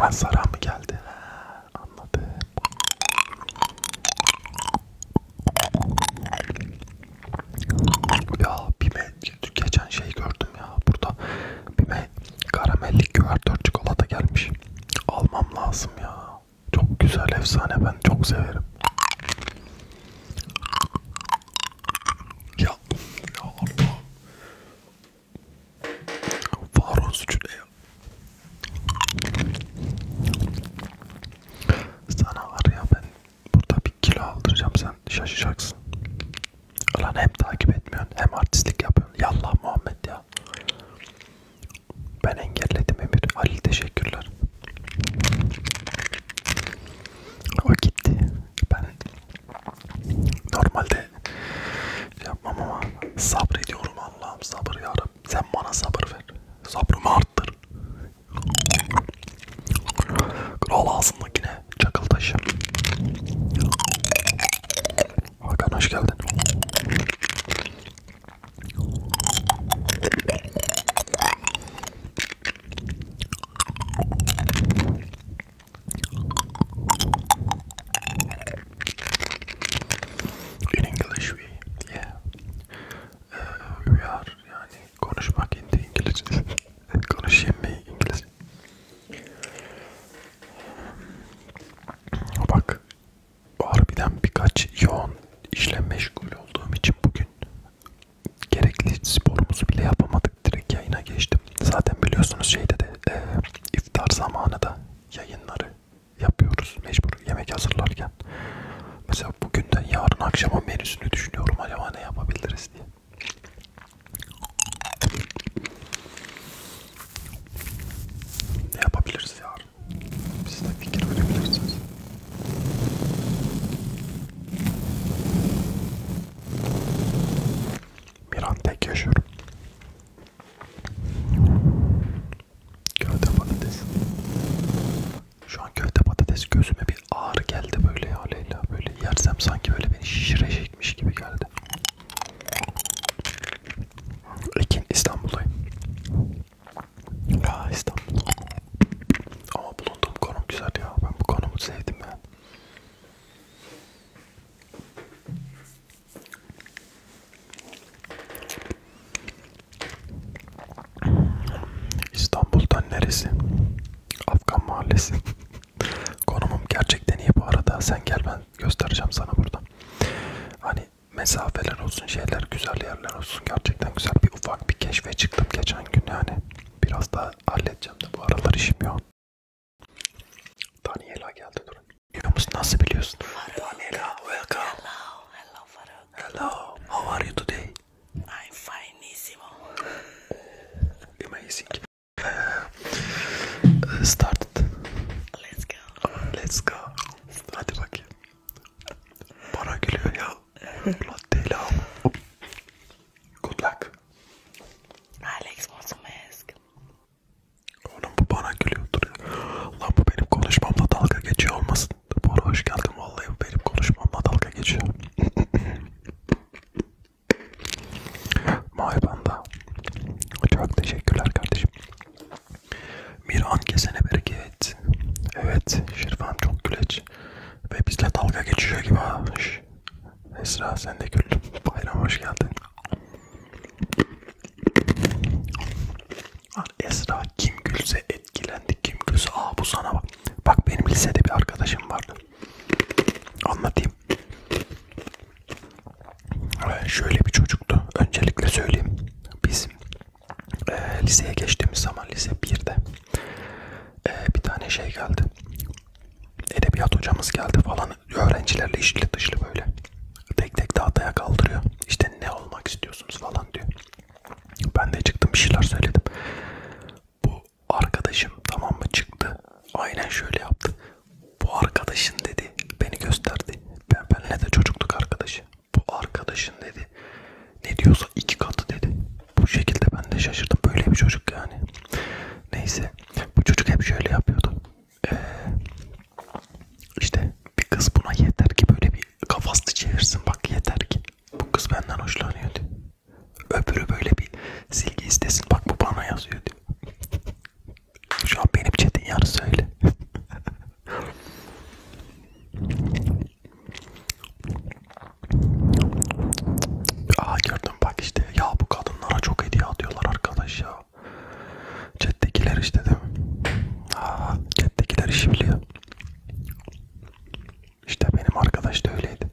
Hasara mı geldi? Ha, anladım. Ya Bime geçen şey gördüm ya burada Bime karamelli güvertör çikolata gelmiş. Almam lazım ya. Çok güzel efsane ben çok severim. Ya, ya Allah. Var olsun şuraya. Sana var ya ben burada bir kilo aldıracağım sen şaşacaksın. Ulan hem takip etmiyorsun hem artistlik yapıyorsun. Yallah Muhammed ya. Ben engelledim Emir. Halil teşekkürler. O gitti. Ben normalde şey yapmam ama sabrediyorum Allah'ım sabır yarım. Sen bana sabır ver. Sabrımı arttır. Kral ağzındakine çakıl taşı. Hakan hoş geldin. In English we, yeah, uh, we are yani konuşmak in the English, konuşayım mı İngilizce? Bak, harbiden birkaç yoğun işle meşgul olduğum için bugün gerekli sporumuzu bile yapamadık direkt yayına geçtim. Zaten biliyorsunuz şeyde de e, iftar zamanı da yayınları yapıyoruz mecbur yemek hazırlarken. Mesela bugünden yarın akşama menüsünü düşünüyorum acaba ne yapabiliriz diye. Ne yapabiliriz yarın? Siz de fikir verebilirsiniz. Bir an tek yaşıyorum. Köfte patates. Şu an köfte patates gözüme bir ağır geldi böyle ya Leyla. Böyle yersem sanki böyle beni şişirecekmiş gibi geldi. Ekin İstanbul'dayım. Ya İstanbul. Ama bulunduğum konum güzel ya. Ben bu konumu sevdim ya. İstanbul'dan neresi? Afgan mahallesi. Konumum gerçekten iyi bu arada. Sen gel ben göstereceğim sana burada. Hani mesafeler olsun, şeyler güzel yerler olsun. Gerçekten güzel bir ufak bir keşfe çıktım geçen gün yani. Biraz daha halledeceğim de bu aralar işim yok. Daniela geldi durun. Yunus nasıl biliyorsun? Daniela welcome. Hello, hello Faruk. Hello, how are you today? I'm finissimo. Oh, amazing. Uh, uh started. Let's go. Let's go. Hadi bakayım. Bana gülüyor ya. Latte Good luck. Alex wants a mask. Oğlum bu bana gülüyordur ya. Lan bu benim konuşmamla dalga geçiyor olmasın. Bora hoş geldin vallahi bu benim konuşmamla dalga geçiyor. Maybanda. Çok teşekkürler kardeşim. Miran kesene bereket. Evet, Şirvan çok güleç. Ve bizle dalga geçiyor gibi ha olmuş. Esra sen de gül. Bayram hoş geldin. Esra kim gülse etkilendi. Kim gülse aa bu sana bak. Bak benim lisede bir arkadaşım vardı. Anlatayım. Ee, şöyle bir çocuktu. Öncelikle söyleyeyim. Biz e, liseye geçtiğimiz zaman lise 1'de e, bir tane şey geldi edebiyat hocamız geldi falan öğrencilerle işli dışlı böyle tek tek tahtaya kaldırıyor işte ne olmak istiyorsunuz falan diyor ben de çıktım bir şeyler söyledim bu arkadaşım tamam mı çıktı aynen şöyle yaptı bu arkadaşın dedi beni gösterdi ben benle de çocuktuk arkadaşı bu arkadaşın dedi ne diyorsa iki katı dedi bu şekilde ben de şaşırdım. Böyle bir çocuk yani. Neyse. Bu çocuk hep şöyle yapıyordu. Ee, işte bir kız buna yeter ki böyle bir kafasını çevirsin. Bak yeter ki. Bu kız benden hoşlanıyor diyor. Öbürü böyle bir silgi istesin. Bak bu bana yazıyor diyor. Şu an benim çetin yarısı öyle. Aa gördüm bak işte ya bu kadınlara çok hediye atıyorlar arkadaş ya. Chat'tekiler işte değil mi? Aa chat'tekiler işi biliyor. İşte benim arkadaş da öyleydi.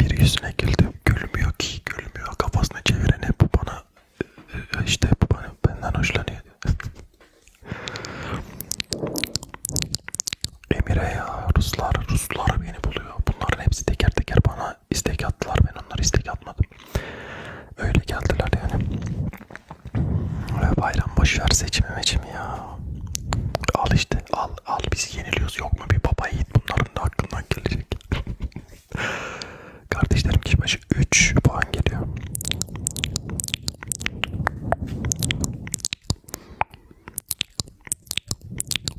Biri yüzüne güldü. Gülmüyor ki gülmüyor. Kafasını çeviren hep bu bana işte bu bana benden hoşlanıyor. Emire ya Ruslar, Ruslar beni buluyor. Bunların hepsi teker teker bana istek attılar. Ben onlara istek atmadım. Öyle geldiler yani. Bayram boşver seçimi meçimi ya. Al işte al al biz yeniliyoruz yok mu bir baba yiğit bunların da aklından gelecek. Kardeşlerim kişi başı 3 puan geliyor.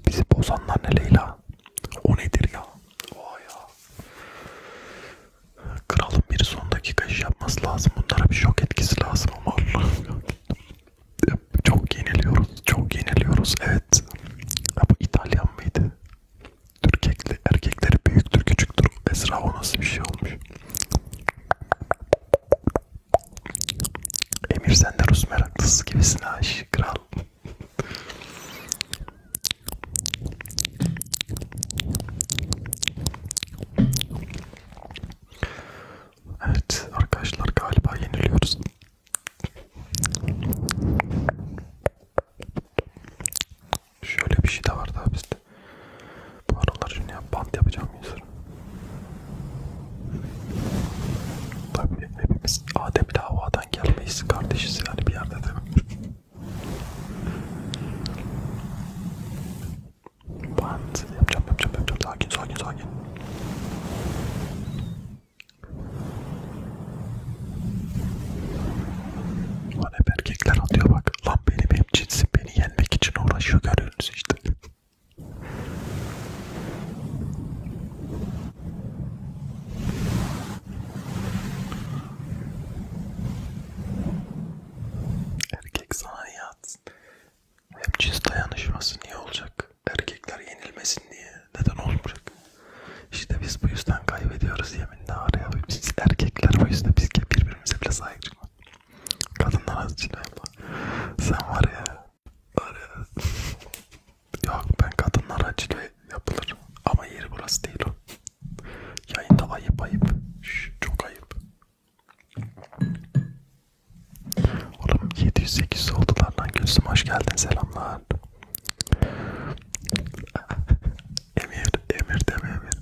Bizi bozanlar ne Leyla? O nedir ya? Oha ya. Kralın bir son dakika iş yapması lazım. Bunlara bir şok etkisi lazım ama Allah'ım Çok yeniliyoruz. Çok yeniliyoruz. Evet. Ya bu İtalyan mıydı? Türkekli, erkekleri büyüktür, küçüktür. Esra o nasıl bir şey olmuş? Emir sen de Rus meraklısı gibisin aşı kral. Evet arkadaşlar galiba yeniliyoruz. Şöyle bir şey de var daha bizde. Bu aralar şimdi ya bant yapacağım yüzür. Tabii hepimiz Adem ile Havva'dan gelmeyiz kardeşiz yani bir yerde değil mi? Ben yapacağım yapacağım yapacağım sakin sakin sakin. Lan hep erkekler atıyor bak. Lan benim hep cinsim beni yenmek için uğraşıyor görüyorsunuz işte. Erkek sana niye atsın? Hem cins dayanışması niye olacak? Erkekler yenilmesin diye. Neden olmayacak? İşte biz bu yüzden kaybediyoruz yeminle araya. Biz erkekler bu yüzden biz birbirimize bile saygı çıkmaz. Kadınlar az için Sen var ya Öyle. Yok ben kadınlar acile yapılır. Ama yeri burası değil o. Yayında ayıp ayıp. Şş, çok ayıp. Oğlum 708 oldular lan Gülsüm hoş geldin selamlar. Emir, Emir deme Emir.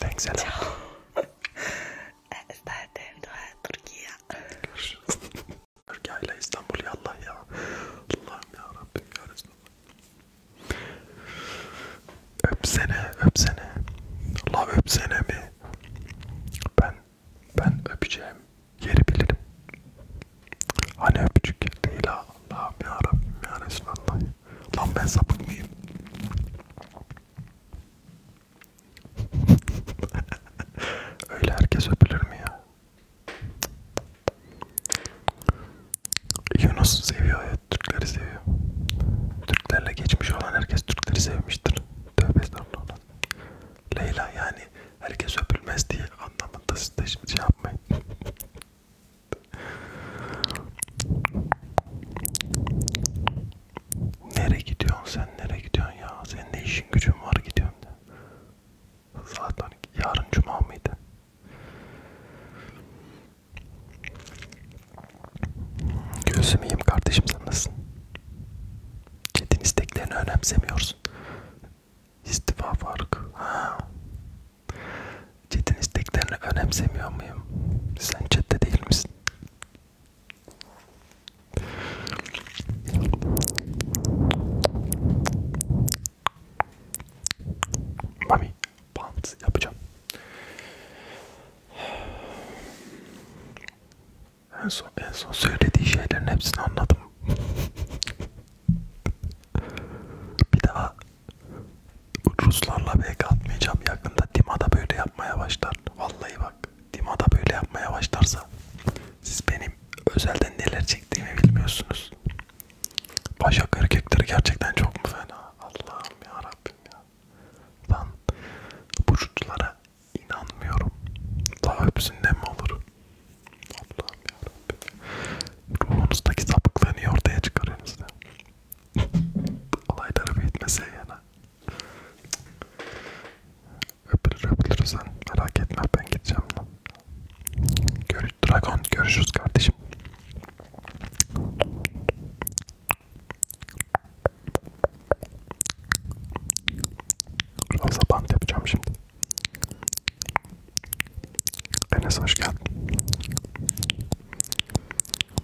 Thanks Ela. Ciao. Estağfurullah eh, eh, Türkiye. Görüşürüz. Türkiye ile İstanbul yallah ya. Allah'ım ya Rabbim ya Resulallah. Öpsene, öpsene. La öpsene mi? Ben, ben öpeceğim yeri bilirim. Hani öpücük değil ha. Allah'ım ya Rabbim ya Resulallah. Lan ben sapık mıyım? Öyle herkes öpülür mü ya? Yunus seviyor ya, Türkleri seviyor. Türklerle geçmiş olan herkes Türkleri sevmiştir. Tövbe estağfurullah. Leyla yani herkes öpülmez diye anlamında siz de şey yapmayın. Nere gidiyorsun sen? Nere gidiyorsun ya? Senin ne işin gücün var gidiyorsun de. Zaten yarın cuma mıydı? Gözüm iyiyim kardeşim sen nasılsın? Çetin isteklerini önemsemiyorsun. İstifa farkı. Ha. Chat'in isteklerini önemsemiyor muyum? Sen chat'te değil misin? Mami, bant yapacağım. En son, en son söylediği şeylerin hepsini anladım. Bir daha Ruslarla pek atmayacağım yakında Dima'da böyle yapmaya başlar. Vallahi bak Dima'da böyle yapmaya başlarsa siz benim özelden neler çektiğimi bilmiyorsunuz. Başak erkekleri gerçekten çok mu fena? Allah'ım ya Rabbim ya. Ben bu çocuklara inanmıyorum. Daha hepsinden mi olur? Allah'ım ya Rabbim. Ruhunuzdaki sapıklığını ortaya çıkarıyorsunuz. Olayları büyütmese yana. Öpülür öpülür sen merak etme ben gideceğim lan. Görüş, Dragon görüşürüz kardeşim. Fazla bant yapacağım şimdi. Enes hoş geldin.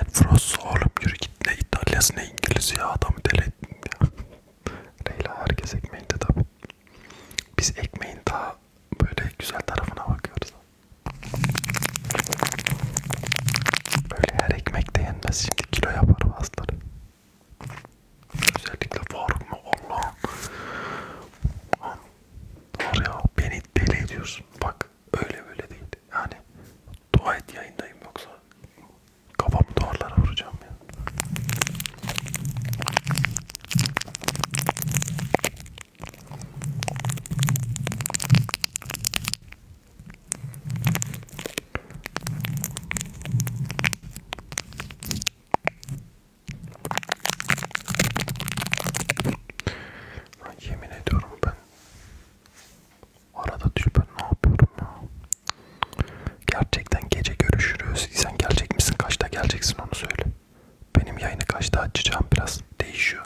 Enfros oğlum yürü git ne İtalyası ne İngilizce ya adamı deli ettin ya. Leyla herkes ekmeğinde tabi. Biz ekmeğin daha böyle güzel tarafına bakıyoruz. Böyle her ekmek de yenmez şimdi kilo yapar bazıları. Özellikle var mı Allah'ım. Nur ya beni deli ediyorsun. Bak öyle böyle değil. Yani dua et yayındayım yoksa kafam duvarlara vuracağım ya. Lan yemin ediyorum ben arada düşüp ben ne yapıyorum ya? Gerçekten gece görüşürüz. Sen gelecek misin? Kaçta geleceksin onu söyle. Benim yayını kaçta açacağım biraz değişiyor.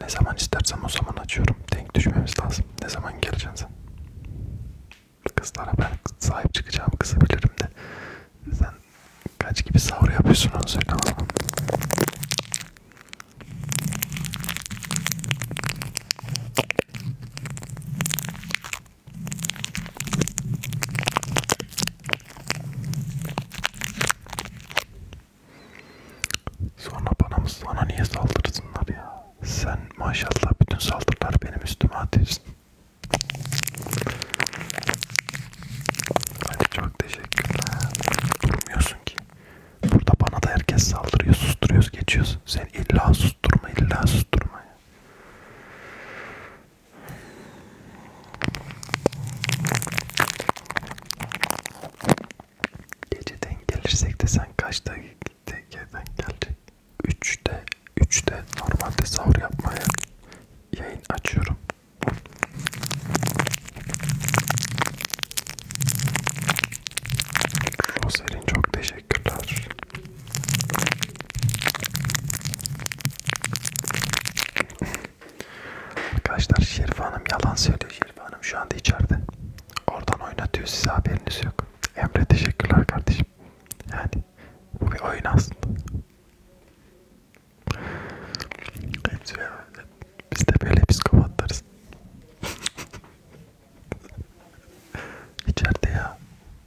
Ne zaman istersem o zaman açıyorum. Denk düşmemiz lazım. Ne zaman geleceksin sen? Kızlara ben sahip çıkacağım kızabilirim de. Sen kaç gibi sahur yapıyorsun onu söyle bana. Sonra bana mı sana niye saldırsınlar ya? Sen maşallah bütün saldırılar benim üstüme atıyorsun. Hadi çok teşekkürler. Durmuyorsun ki. Burada bana da herkes saldırıyor, susturuyoruz, geçiyoruz. Sen illa susturma, illa susturma ya. Geceden gelirsek de sen kaçta geceden gelecek? 3'te, 3'te normalde sahur yapmaya yayın açıyorum. Roselin çok teşekkürler. Arkadaşlar Şerife Hanım yalan söylüyor. Şerife Hanım şu anda içeride. Oradan oynatıyor size haberiniz yok. Emre teşekkürler kardeşim. Yani bu bir oyun aslında. Hepsi herhalde. Biz de böyle psikopatlarız. İçeride ya.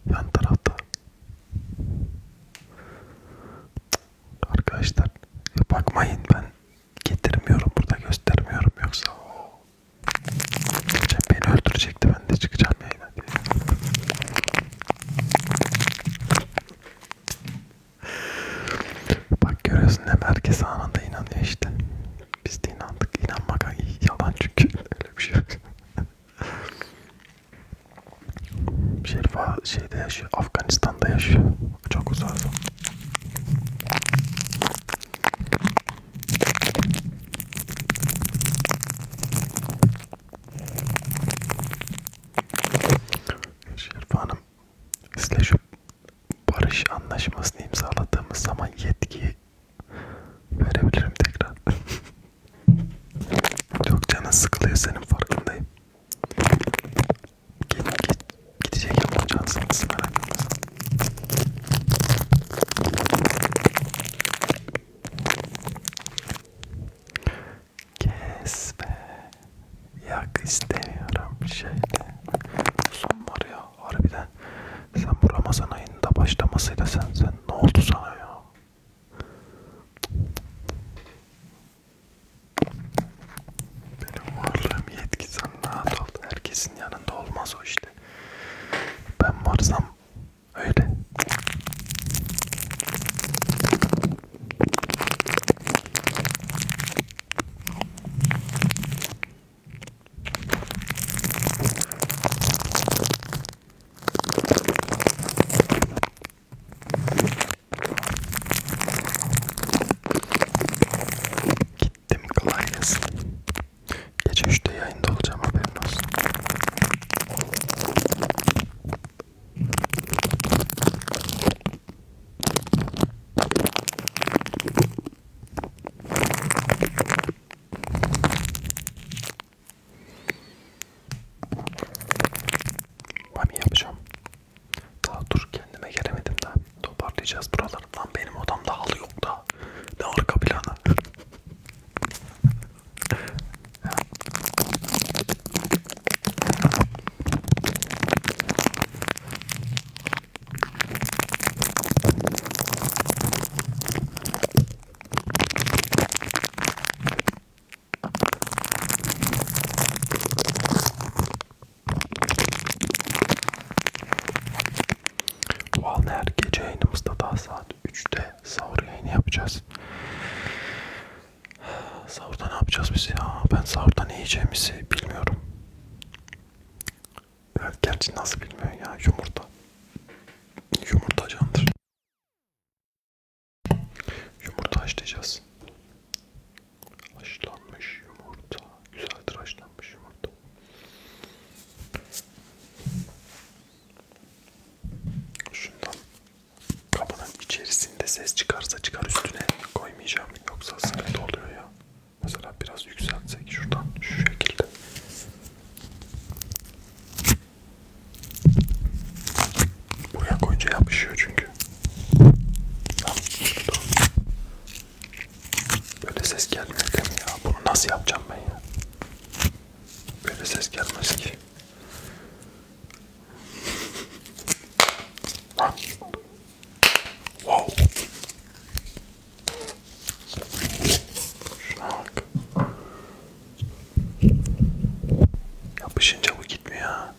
Yan tarafta. Arkadaşlar bakmayın ben getirmiyorum burada göstermiyorum yoksa o beni öldürecekti ben de çıkacağım yayına diye. Bak görüyorsun hem herkes anında inanıyor işte. Biz de inandık. İnanmak yalan çünkü. Öyle bir şey yok. Şerif şeyde yaşıyor. Afganistan'da yaşıyor. Çok uzardı. Şerif Hanım sizle şu barış anlaşmasını imzaladığımız zaman yetkiyi verebilirim tekrar. Çok canın sıkılıyor senin farkındayım. Git, git, gidecek yapacağın sıkıntısı merak etmesin. Kes be. Yak istemiyorum şeyde. Son var ya harbiden. Sen bu Ramazan ayında başlamasıyla sen sen ne oldu sana ya? Benim varlığım yetki sen rahat ol. Herkesin yanında olmaz o işte. Ben varsam öyle. Gittim klavyesi. Gece 3'te yayında olacağım haberin olsun. Bami yapacağım. Daha dur kendime gelemedim daha. Toparlayacağız buraları. Lan benim odamda halı yok da. Ne arka planı. Vallahi her gece yayınımızda daha saat 3'te sahur yayını yapacağız. Sahurda ne yapacağız biz ya? Ben sahurda ne yiyeceğimizi bilmiyorum. Evet, gerçi nasıl bilmiyorum ya yumurta. Yumurta candır. Yumurta haşlayacağız. Haşlanmış yumurta. Güzeldir haşlanmış yumurta. Şundan Kapının içerisinde ses çıkarsa çıkar üstüne koymayacağım yoksa sıkıntı oluyor ya. Mesela biraz yükseltsek şuradan şu şekilde. Buraya koyunca yapışıyor çünkü. Böyle ses gelmiyor değil mi ya? Bunu nasıl yapacağım ben ya? Böyle ses gelmez ki. Wow. Şuna bak. Yapışınca bu gitmiyor ha.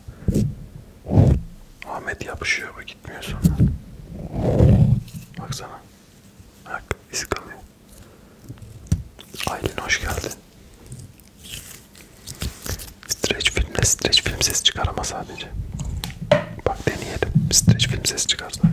Ahmet yapışıyor bu gitmiyor sonra. Baksana. Bak izi kalıyor. Aylin hoş geldin. Stretch filmle stretch film ses çıkar ama sadece. Bak deneyelim. Stretch film ses çıkar sadece.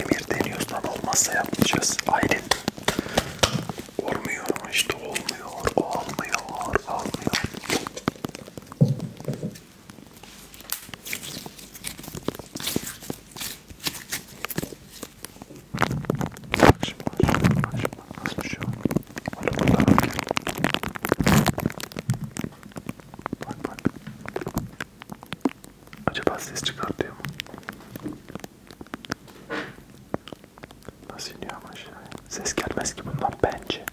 Emir deniyorsan olmazsa yapacağız. Aynen. Olmuyor işte olmuyor. Olmuyor. Olmuyor. Bak şimdi, bak şimdi, nasıl düşüyor? Bak burada. Bak bak. Acaba ses çıkartıyor mu? Nasıl iniyor ama aşağıya? Ses gelmez ki bundan bence.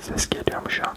Ses geliyor mu şu an?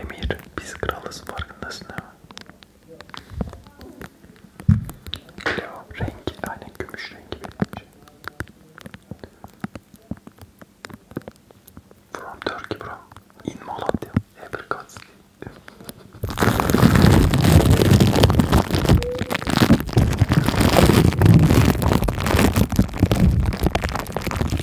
Emir biz kralız farkındasın değil mi? Leo rengi aynen gümüş rengi benim From Turkey bro. In Malatya. Apricots.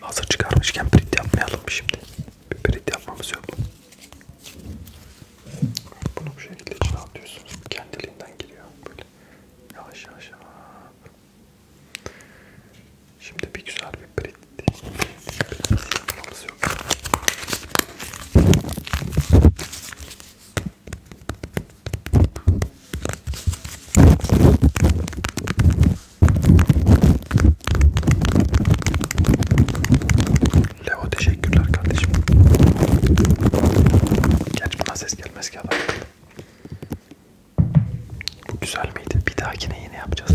Hazır çıkarmışken print yapmayalım mı şimdi? Bir print yapmamız yok. Bunu bu şekilde içine atıyorsunuz. Kendiliğinden giriyor. Böyle yavaş yavaş. yavaş. Şimdi bir güzel bir print. Print yok. Leo teşekkürler kardeşim. Gerçi buna ses gelmez ki adam. Bu güzel miydi? Bir dahakine yine yapacağız.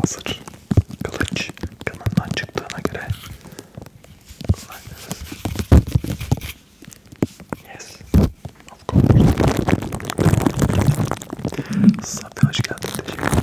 Hazır kılıç kınından çıktığına göre kullanacağız. Yes. Of course. Safi hoş geldin. Teşekkürler.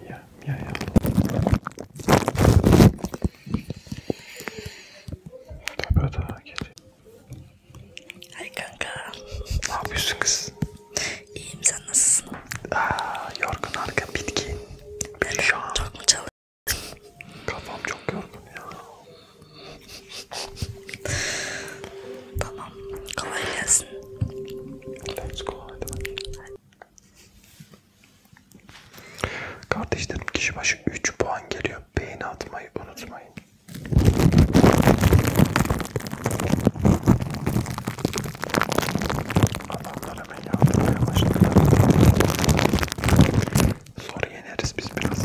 Mia, Mia ya. Tepe daha gece. Ay kanka. Ne yapıyorsun kız? İyiyim sen nasılsın? Aa, yorgun arka bitki. Ben şu an. Çok mu çalıştın? Kafam çok yorgun ya. tamam. Kolay gelsin. Let's go. Hadi bakayım. Kardeşlerim kişi başı 3 puan geliyor. Beğeni atmayı unutmayın. Adamlara beni atmaya başladı. Sonra yeneriz biz biraz.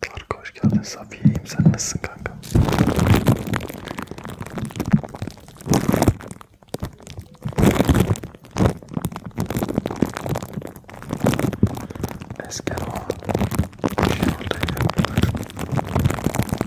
Tarık hoş geldin. Safiye'yim. Sen nasılsın kanka? Esker o. Şey orada yapıyorlar.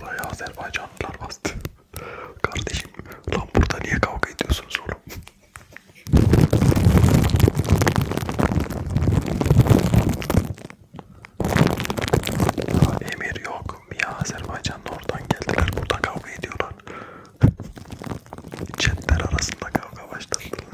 Buraya Azerbaycanlılar bastı. Kardeşim lan burada niye kavga ediyorsunuz oğlum? Ya emir yok. Ya Azerbaycan'da oradan geldiler. Burada kavga ediyorlar. Chatler arasında kavga başladı.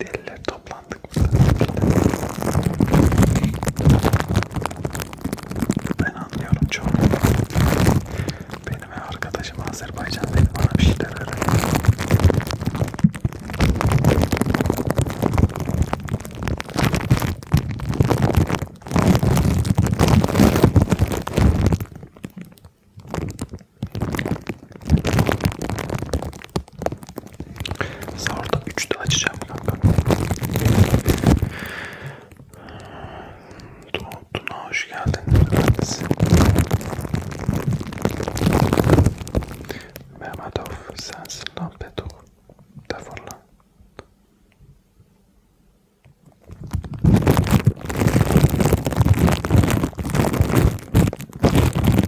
Deliler toplandık burada. Ben anlıyorum çok. Benim arkadaşım Azerbaycan'daydı bana bir şeyler öğretti. Sahurda 3'te açacağım kanka. Tuna hoş geldin. Mehmetov sensin lan Petok. Defol lan.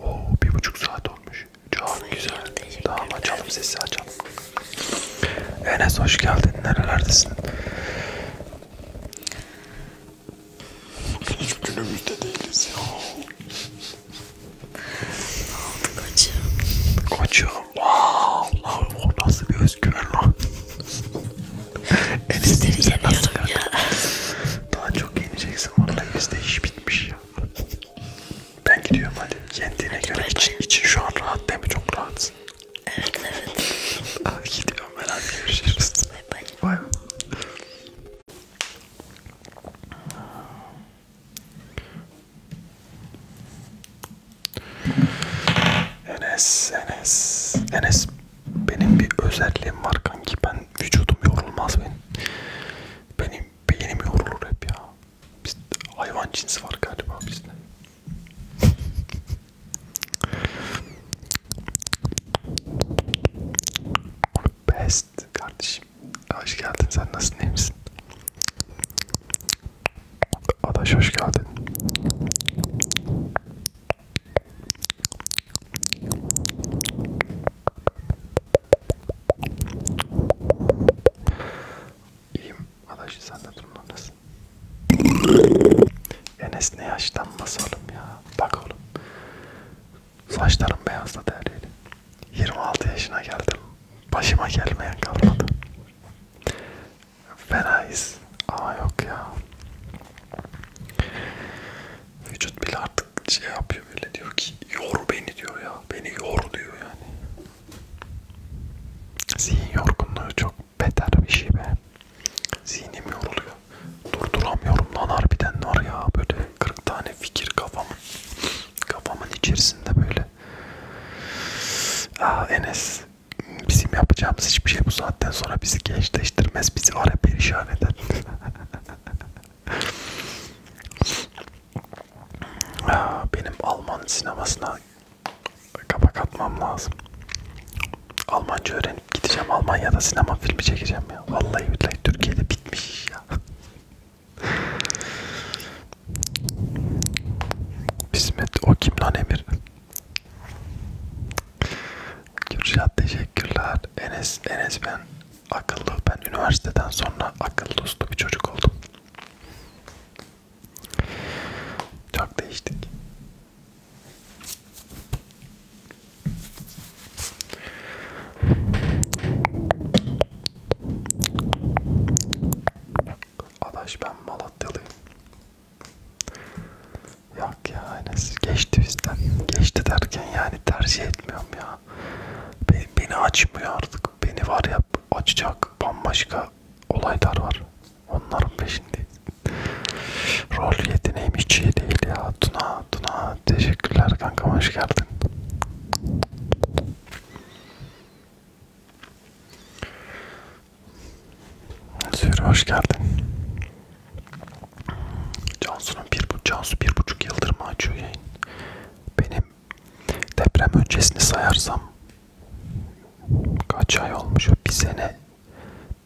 Oo bir buçuk saat olmuş. Çok güzel. Tamam açalım sesi açalım. Enes hoş geldin. Nerelerdesin? Hiç günümüzde değiliz ya. Koçum. Koçum. Wow. O nasıl bir özgüven lan. Enes diyeceksin nasıl ya. Daha çok yeneceksin vallahi bizde iş bitmiş ya. Ben gidiyorum hadi. Yendiğine hadi göre için, için şu an rahat değil mi? Çok rahatsın. Evet evet. Ah, gidiyorum ben hadi görüşürüz. Bay bay. Bay Enes, Enes, Enes benim bir özelliğim var kanki ben vücudum yorulmaz benim. Benim beynim yorulur hep ya. Biz hayvan cinsi var galiba bizde. Best kardeşim. Hoş geldin. Sen nasılsın? İyi misin? Adaş hoş geldin. İyiyim. Adaşı sen de durumda nasıl? Enes ne yaşlanması oğlum ya. Bak oğlum. Saçlarım beyazladı her yeri. 26 yaşına geldim. Başıma gelmeyen kalmadı fenayız ama yok ya vücut bile artık şey yapıyor böyle diyor ki yor beni diyor ya beni yor diyor yani zihin yorgunluğu çok beter bir şey be zihnim yoruluyor durduramıyorum lan harbiden var ya böyle 40 tane fikir kafamın kafamın içerisinde böyle Aa ah, Enes bizim yapacağımız hiçbir şey bu saatten sonra bizi gençleştirmez, bizi ara perişan eder. Benim Alman sinemasına kapak atmam lazım. Almanca öğrenip gideceğim Almanya'da sinema filmi çekeceğim ya. Vallahi billahi Türkiye'de bitmiş ya. Bismet o kim lan Emir? Kürşat teşekkürler. Enes, Enes ben akıllı. Ben üniversiteden sonra akıllı uslu bir çocuk oldum. Çok değiştik. Adaş ben Malatyalıyım. Yok ya Enes geçti bizden. Geçti derken yani tercih etmiyorum ya. Beni, beni açmıyor artık. Beni var ya açacak bambaşka olaylar var. Onların peşindeyiz. Rol yeteneğim hiç iyi değil ya. Tuna, Tuna teşekkürler kanka hoş geldin. Zühre hoş geldin. Cansu'nun bir, bu, Cansu bir buçuk yıldır mı açıyor yayın? Benim deprem öncesini sayarsam kaç ay olmuş? Bir sene,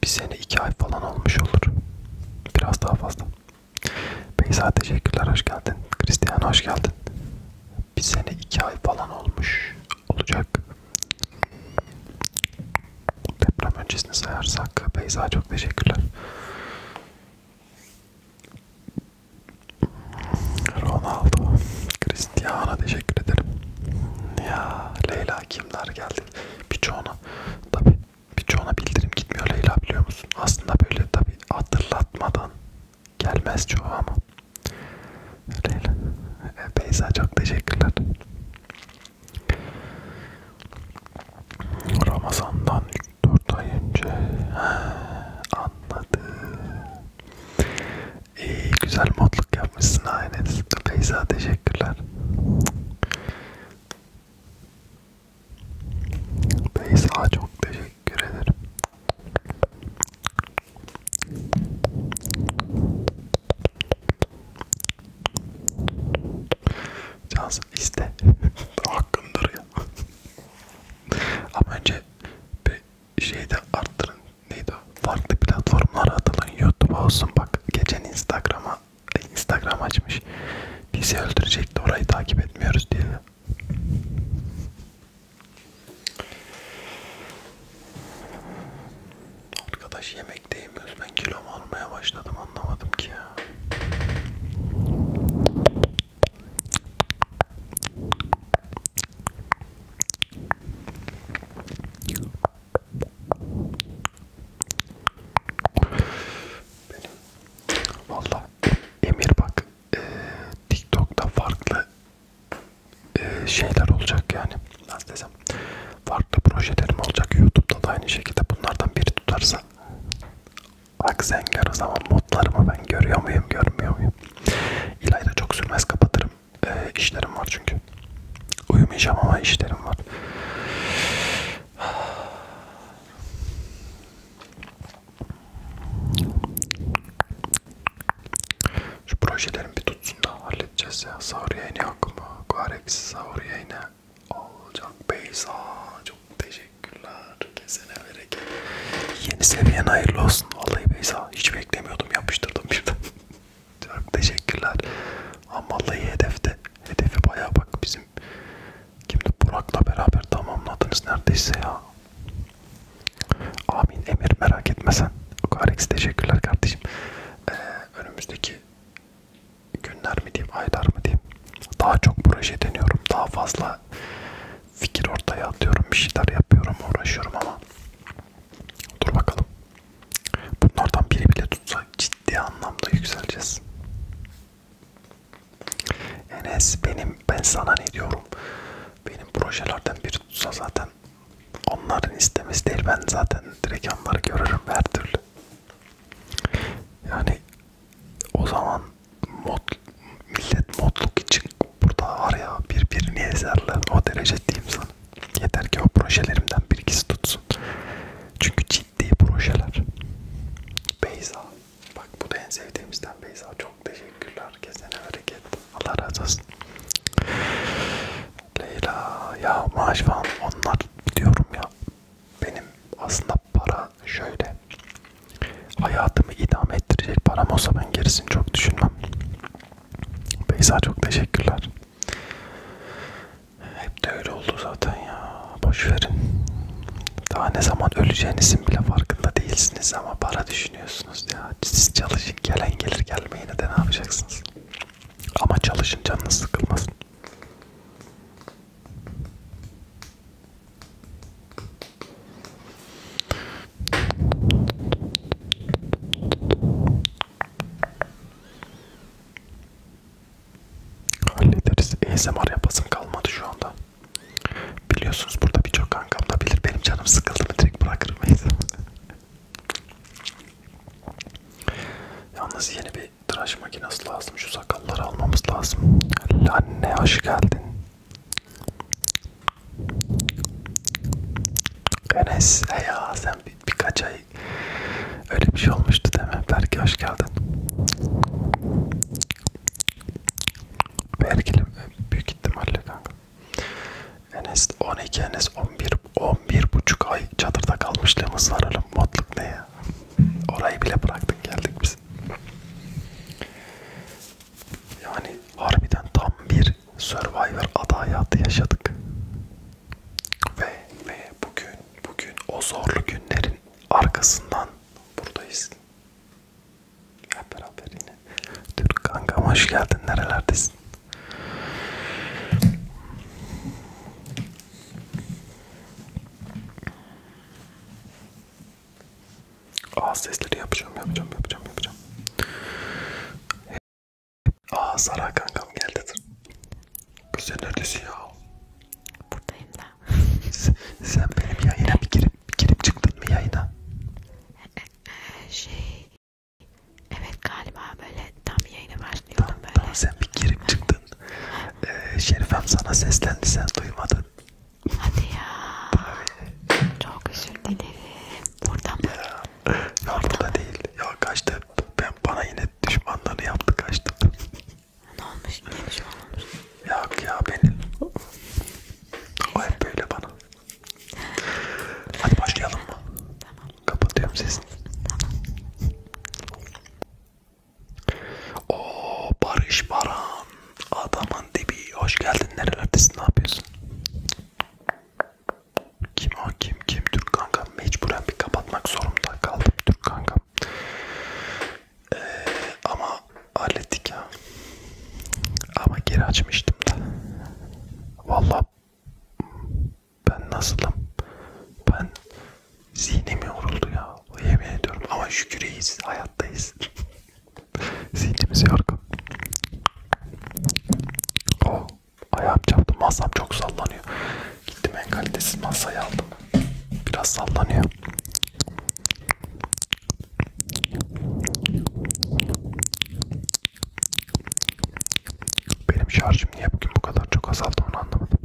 bir sene iki ay falan olmuş olur. Biraz daha fazla. Beyza teşekkürler hoş geldin. Christian hoş geldin. Bir sene iki ay falan olmuş olacak. Deprem öncesini sayarsak Beyza çok teşekkürler. Ronaldo, Cristiano teşekkür ederim. Ya Leyla kimler geldi? Birçoğuna tabi birçoğuna bildirim gitmiyor Leyla biliyor musun? Aslında böyle tabi hatırlatmadan gelmez çoğu ama. Leyla, e, Beyza çok teşekkürler. Ramazan'dan 4 ay önce anladım. İyi güzel modluk yapmışsın aileniz. Feyza teşekkürler. Feyza çok teşekkür ederim. Cansın iste. Hakkındır ya. Ama önce bir şeyi de arttırın. Neydi o? Farklı platformlara atılın. Youtube'a olsun bak. Geçen Instagram'a Instagram açmış. Bizi öldürecekti. Orayı takip etmiyoruz diye. Arkadaş yemek de yemiyoruz. Ben kilom almaya başladım anlamadım ki ya. Benim valla Emir bak e, TikTok'ta farklı e, şeyler olacak yani. Nasıl desem Farklı projelerim olacak YouTube'da da aynı şekilde bunlardan biri tutarsa Bak sen gör o zaman modlarımı ben görüyor muyum görmüyor muyum İlayda çok sürmez kapatırım ee, işlerim var çünkü Uyumayacağım ama işlerim var Şu projelerim bir tutsun da halledeceğiz ya. Sahur yayını yok mu? Guarex sahur yayını olacak. Beyza çok teşekkürler. Kesene bereket. Yeni seviyen hayırlı olsun. Vallahi Beyza hiç beklemiyordum. Yapıştırdım birden. çok teşekkürler. Ama vallahi hedefte. Hedefi bayağı bak bizim. Kimdi? Burak'la beraber tamamladınız neredeyse ya. Amin Emir merak etme sen. Guarex teşekkürler kardeşim. Ee, önümüzdeki günler mi diyeyim, aylar mı diyeyim daha çok proje deniyorum. Daha fazla fikir ortaya atıyorum, bir şeyler yapıyorum, uğraşıyorum ama dur bakalım. Bunlardan biri bile tutsa ciddi anlamda yükseleceğiz. Enes benim ben sana ne diyorum? Benim projelerden biri tutsa zaten onların istemesi değil ben zaten direkt onları görürüm her türlü. Yani o zaman mod, millet modluk için burada var ya birbirini ezerler o derece diyeyim sana. Yeter ki o projelerimden bir ikisi tutsun. Çünkü ciddi projeler. Beyza. Bak bu da en sevdiğimizden Beyza. Çok teşekkürler. Kesene hareket. Allah razı olsun. Leyla. Ya maaş falan onlar diyorum ya benim aslında para şöyle hayatımı idame ettirecek param olsa ben gerisini çok düşünmem. Beyza çok teşekkürler. Hep de öyle oldu zaten ya. Boş verin. Daha ne zaman öleceğinizin bile farkında değilsiniz ama para düşünüyorsunuz ya. Siz çalışın gelen gelir gelmeyene de ne yapacaksınız? Ama çalışın canınız sıkılmasın. Hallederiz. ASMR yapasım kalmadı şu anda. Biliyorsunuz burada birçok kankam da bilir. Benim canım sıkıldı mı direkt bırakırım ASMR. Yalnız yeni bir tıraş makinesi lazım. Şu sakalları almamız lazım. Anne hoş geldin. Enes ya sen bir, birkaç ay öyle bir şey olmuştu değil mi? Berke hoş geldin. Berke'li büyük ihtimalle kanka. Enes 12, Enes 11 sırf 11,5 ay çadırda kalmışlığımız var oğlum. Modluk ne ya? Orayı bile bıraktık geldik biz. Yani harbiden tam bir Survivor ada hayatı yaşadık. Ve ve bugün bugün o zorlu günlerin arkasından buradayız. Hep beraber yine. Türk kankam hoş geldin. Nerelerdesin? Ağız sesleri yapacağım, yapacağım, yapacağım, yapacağım. Aa Sara kankam geldi. Kız sen neredesin ya? Buradayım da. sen benim yayına bir girip, bir girip çıktın mı yayına? Ee, e, e, şey, Evet galiba böyle tam yayına başlıyordum tamam, böyle. Tamam sen bir girip çıktın. ee, Şerifem sana seslendi sen duymadın. Hadi ya. Tabii. Çok özür dilerim. Burada mı? Ya, ya burada, burada değil. Ya kaçtı. Ben bana yine düşmanlarını yaptı kaçtı. Ne olmuş? Ne düşman olmuş? Yok ya benim. o hep böyle bana. Hadi başlayalım mı? Tamam. Kapatıyorum sesini. Tamam. Oo Barış Baran. Adamın dibi. Hoş geldin. Nerelerdesin? Ne yapıyorsun? Kim o? Kim? Kim? Türk kanka. Mecburen bir kapatmak zorunda kaldım. Türk kanka. Ee, ama hallettik ya. Ama geri açmıştım da. Vallahi ben nasılım? Ben zihnim yoruldu ya. Yemin ediyorum ama şükür iyiyiz. Hayattayız. Zihnimiz yorgun. Oh, ayağım çarptı. Masam çok sallanıyor. Gittim en kalitesiz masayı aldım. Biraz sallanıyor. Benim şarj şimdi yapayım bu kadar çok azaldı onu anlamadım.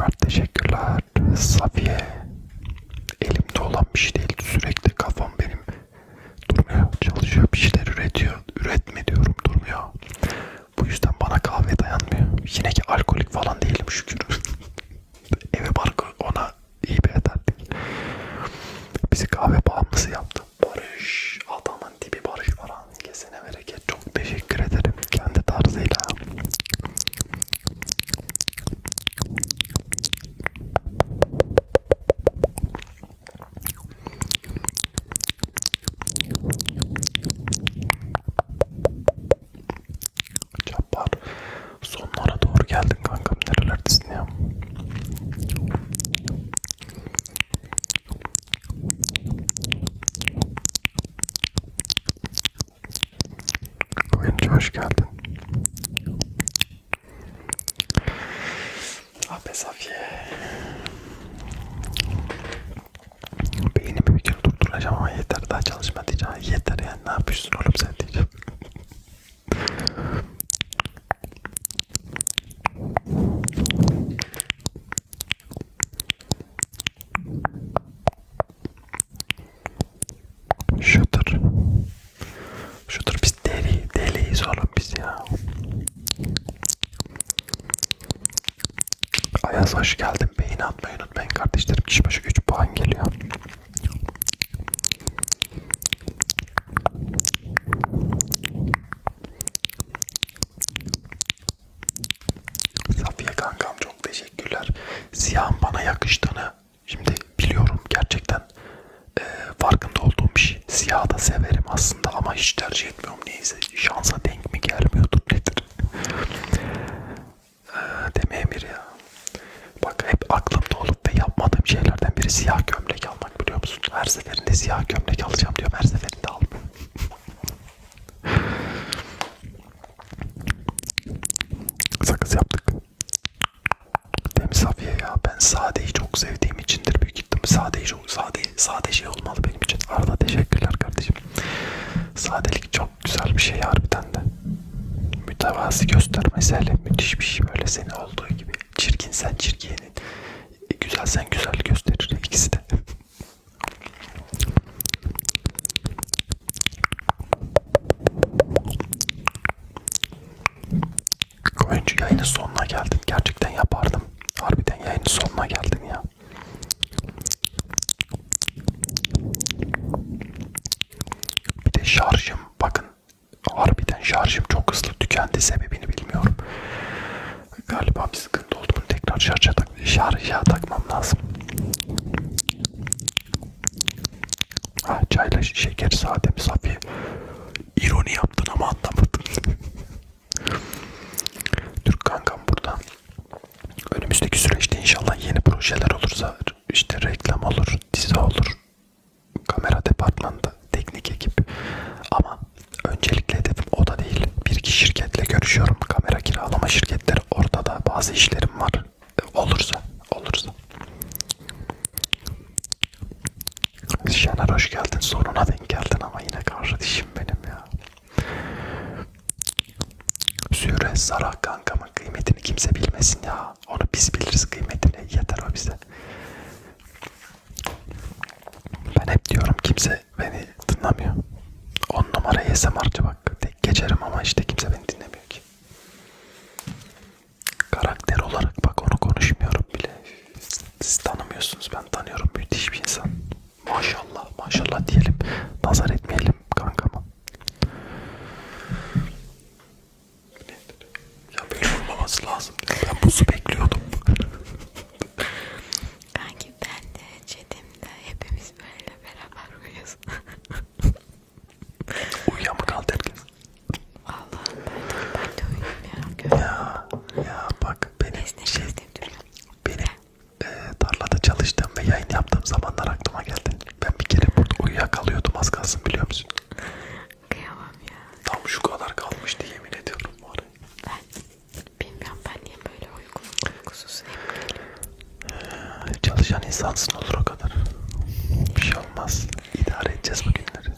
Mert teşekkürler. Safiye. Elimde olan bir şey değil. Sürekli kafam benim durmuyor. Çalışıyor bir şeyler üretiyor. Üretme diyorum durmuyor. Bu yüzden bana kahve dayanmıyor. Yine ki alkolik falan değilim şükür. Eve barkı ona iyi bir ederdik. Bizi kahve bağımlısı yaptı. Barış adamın tipi Barış Baran kesene bereket çok teşekkür ederim kendi tarzıyla. Çapar sonlara doğru geldin kankam nerelerdesin ya? Koyuncu hoş geldin. Abi ah Safiye. Beynimi bir kere durduracağım ama yeter daha çalışma diyeceğim. Yeter yani ne yapıyorsun oğlum sen diyeceğim. Şudur. Şudur biz deli, deliyiz oğlum biz ya. Ayaz hoş geldin. Beyin atmayı unutmayın kardeşlerim. Kişi başı 3 puan geliyor. Safiye kankam çok teşekkürler. Siyahın bana yakıştığını şimdi biliyorum gerçekten e, farkında olduğum bir şey. Siyah da severim aslında ama hiç tercih etmiyorum neyse şansa denk mi gelmiyordur nedir? e, Deme Emir ya. Bak hep aklımda olup ve yapmadığım şeylerden biri siyah gömlek almak biliyor musun? Her seferinde siyah gömlek alacağım diyorum her seferinde almıyorum. Sakız yaptık. Temiz safiye ya. Ben sadeyi çok sevdiğim içindir büyük ihtimal. Sade, sade, sade şey olmalı benim için. Arda teşekkürler kardeşim. Sadelik çok güzel bir şey harbiden de. Mütevazi göstermesiyle müthiş bir şey böyle seni olduğu gibi. Çirkin sen çirkinin. Güzel sen güzel gösterir ikisi de. Oyuncu yayının sonuna geldin. Gerçekten yapardım. Harbiden yayının sonuna geldin ya. Bir de şarjım bakın harbiden şarjım çok hızlı tükendi sebebini bilmiyorum. Galiba bir sıkıntı oldu. Bunu tekrar şarja, tak şarja takmam lazım. Ha, çayla şeker sademiz hafif. İroni yaptın ama anlamadım. Türk kankam buradan. Önümüzdeki süreçte inşallah yeni projeler olursa işte reklam olur, dizi olur, kamera departmanında teknik ekip ama öncelikle hedefim o da değil. Bir iki şirketle görüşüyorum. Kamera kiralama şirketleri. Orada da bazı işlerim var. E, olursa, olursa. Şener hoş geldin. Sonuna denk geldin ama yine kardeşim benim ya. Süre Sara kankamın kıymetini kimse bilmesin ya. Onu biz biliriz kıymetini. Yeter o bize. Ben hep diyorum kimse kimse beni dinlemiyor. 10 numara ASMR'cı bak. Tek geçerim ama işte kimse beni dinlemiyor ki. Karakter olarak bak onu konuşmuyorum bile. Siz tanımıyorsunuz ben tanıyorum. Müthiş bir insan. Maşallah maşallah diyelim. Nazar etmeyelim kankama. Ya böyle olmaması lazım. Ben buzu bekliyordum. Kanki ben de Çetim'de hepimiz böyle beraber uyuyoruz. Uyuyan mı kaldı herkes? Valla ben de, ben de uyuyayım ya. Ya, ya bak benim esnek, şey, esnek benim e, tarlada çalıştığım ve yayın yaptığım zamanlar aklıma geldi. Ben bir kere burada uyuyakalıyordum az kalsın biliyor musun? Kıyamam ya. Tam şu kadar kalmıştı yemin ediyorum var. Ben Bilmiyorum ben niye böyle uygun uykusuz hep geliyorum. Ee, çalışan insansın olur o kadar. Bir şey olmaz. İdare edeceğiz bu günleri.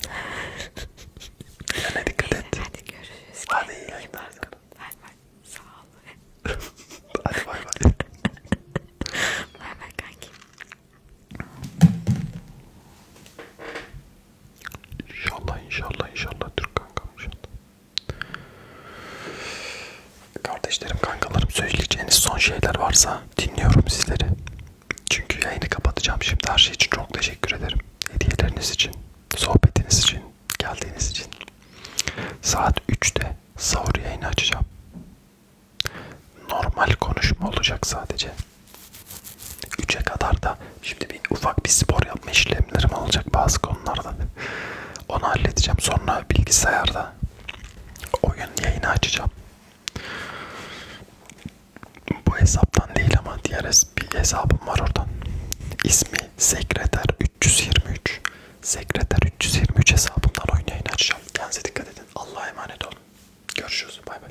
Kendine dikkat et. Hadi görüşürüz. Hadi iyi yayınlar. Bay bay. Sağ ol. Hadi bay bay. Bay bay kanki. İnşallah inşallah inşallah Türk kankam inşallah. Kardeşlerim kankalarım söyleyeceğiniz son şeyler varsa dinliyorum sizleri. Çünkü yayını kapatacağım şimdi her şey için çok teşekkür ederim. Hediyeleriniz için, sohbetiniz için, geldiğiniz için. Saat 3'te sahur yayını açacağım. Normal konuşma olacak sadece. 3'e kadar da Şimdi bir ufak bir spor yapma işlemlerim olacak bazı konularda. Onu halledeceğim. Sonra bilgisayarda oyun yayını açacağım. Bu hesaptan değil ama diğer bir hesabım var oradan. İsmi sekreter 323. Sekreter 323 hesabından oyun yayını açacağım. Kendinize dikkat edin. Allah'a emanet olun. Görüşürüz. Bay bay.